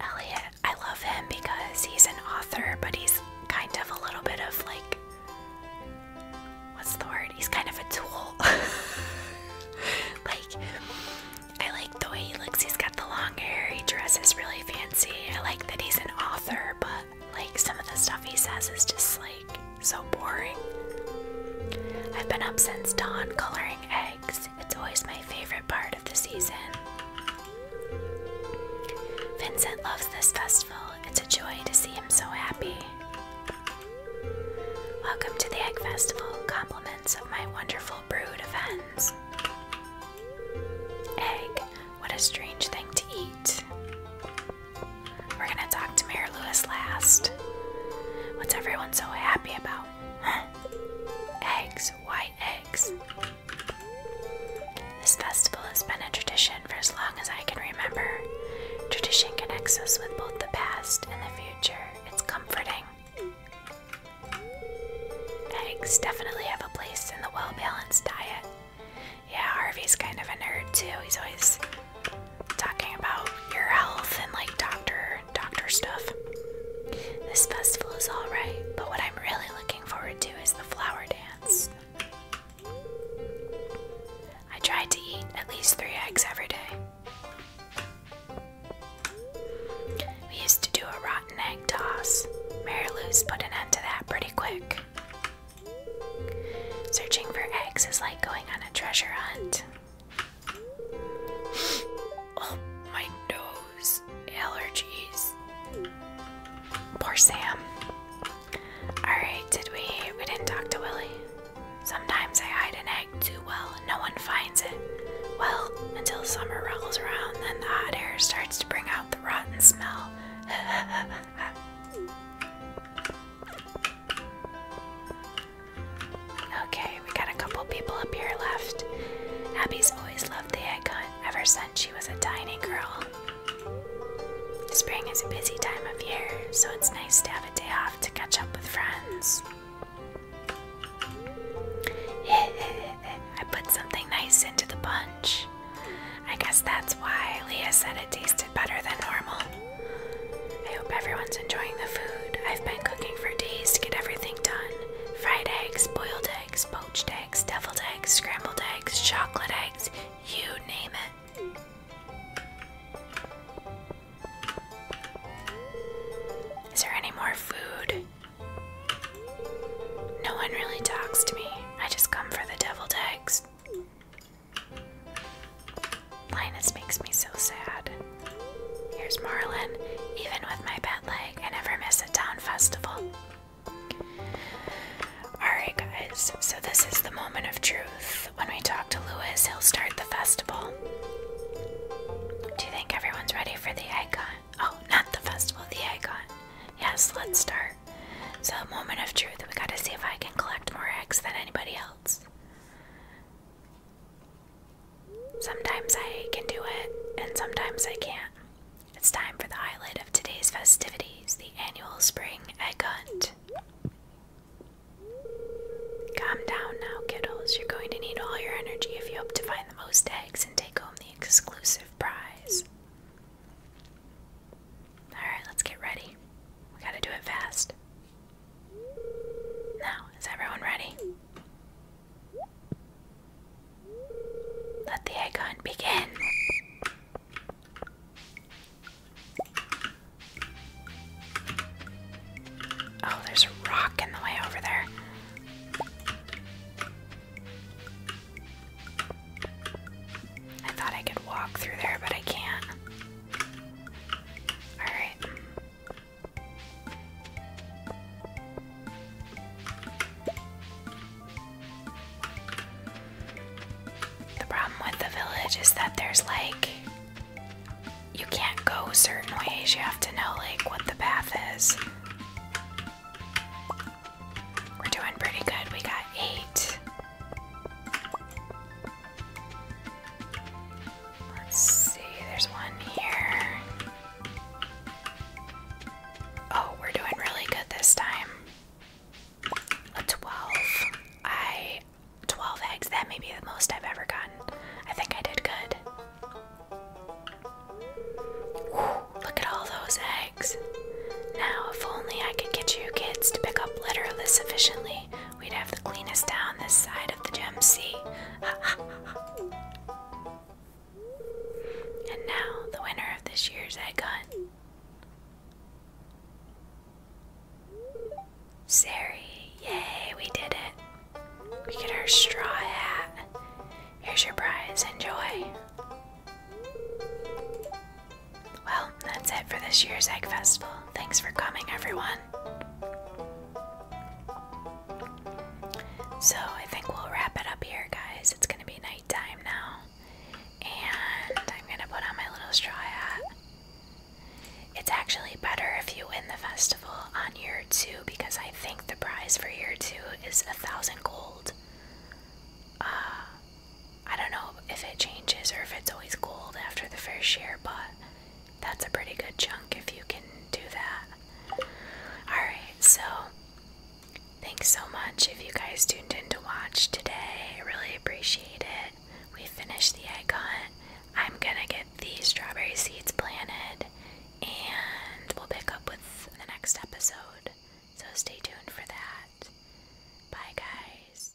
Elliot, I love him because he's an author, but he's kind of a little bit of like. What's the word? He's kind of a tool. *laughs* like, I like the way he looks. He's got the long hair, he dresses really fancy. I like that he's an author, but like some of the stuff he says is just like so boring. I've been up since dawn coloring eggs. It's always my favorite part of the season. Vincent loves this festival. It's a joy to see him so happy. Welcome to the Egg Festival. Compliments of my wonderful brood of hens. Egg. What a strange thing to eat. We're gonna talk to Mayor Lewis last. What's everyone so happy about? Eggs, white eggs. This festival has been a tradition for as long as I can remember. Tradition connects us with both the past and the future. It's comforting. Eggs definitely have a place in the well balanced diet. Yeah, Harvey's kind of a nerd too. He's always talking about your health and like doctor doctor stuff. This festival is alright, but what I'm really looking forward to is the flower dance. I tried to eat at least three eggs every day. We used to do a rotten egg toss. Mary Lou's put an end to that pretty quick. Searching for eggs is like going on a treasure hunt. *gasps* Oh, my nose. Allergies. Poor Sam. Alright, did we? We didn't talk to Willie. Sometimes I hide an egg too well and no one finds it. Well, until summer rolls around, then the hot air starts to bring out the rotten smell. *laughs* Okay, we got a couple people up here left. Abby's always loved the egg hunt ever since she was a tiny girl. Spring is a busy time of year, so it's nice to have a day off to catch up with friends. *laughs* I put something nice into the bunch. I guess that's why Leah said it tasted better than normal. I hope everyone's enjoying the food. I've been cooking for days to get everything done fried eggs, boiled eggs, poached eggs, deviled eggs, scrambled eggs, chocolate eggs you name it. Is there any more food? No one really talks to me. I just come for the deviled eggs. Linus makes me so sad. Here's Marlin. Even with my bad leg, I never miss a town festival. Alright, guys, so this is the moment of truth. When we talk to Lewis, he'll start the festival. Do you think everyone's ready for the icon? Oh, not the festival, the icon. Yes, let's start more. So, moment of truth. We gotta see if I can collect more eggs than anybody else. Sometimes I can do it, and sometimes I can't. It's time for the highlight of today's festivities the annual spring egg hunt. Calm down now, kiddos. You're going to need all your energy if you hope to find the most eggs and take home the exclusive prize. Alright, let's get ready. We gotta do it fast. Now, is everyone ready? Let the egg hunt begin! Oh, there's a rock in the way over there. I thought I could walk through there, but I can't. Alright. The problem with the village is that there's like. You can't go certain ways, you have to know like what the path is. We're doing pretty good. We got eight. Let's see, there's one here. Oh, we're doing really good this time. A 12. I. 12 eggs. That may be the most I've ever gotten. I think I did good. look at all those eggs. Now, if only I could get you kids to pick up litter list sufficiently We'd have the cleanest town this side of the Gem Sea. *laughs* and now, the winner of this year's egg hunt. Sari, yay, we did it. We get our straw hat. Here's your prize, enjoy. Well, that's it for this year's Egg Festival. Thanks for coming, everyone. So, I think we'll wrap it up here, guys. It's gonna be nighttime now. And I'm gonna put on my little straw hat. It's actually better if you win the festival on year two because I think the prize for year two is a thousand gold. Uh, I don't know if it changes or if it's always gold after the first year, but that's a pretty good chunk if you can do that. Alright, so thanks so much if you guys tuned in to watch today. really appreciate it. We finished the egg hunt. I'm gonna get the strawberry seeds planted and we'll pick up with the next episode. So stay tuned for that. Bye, guys.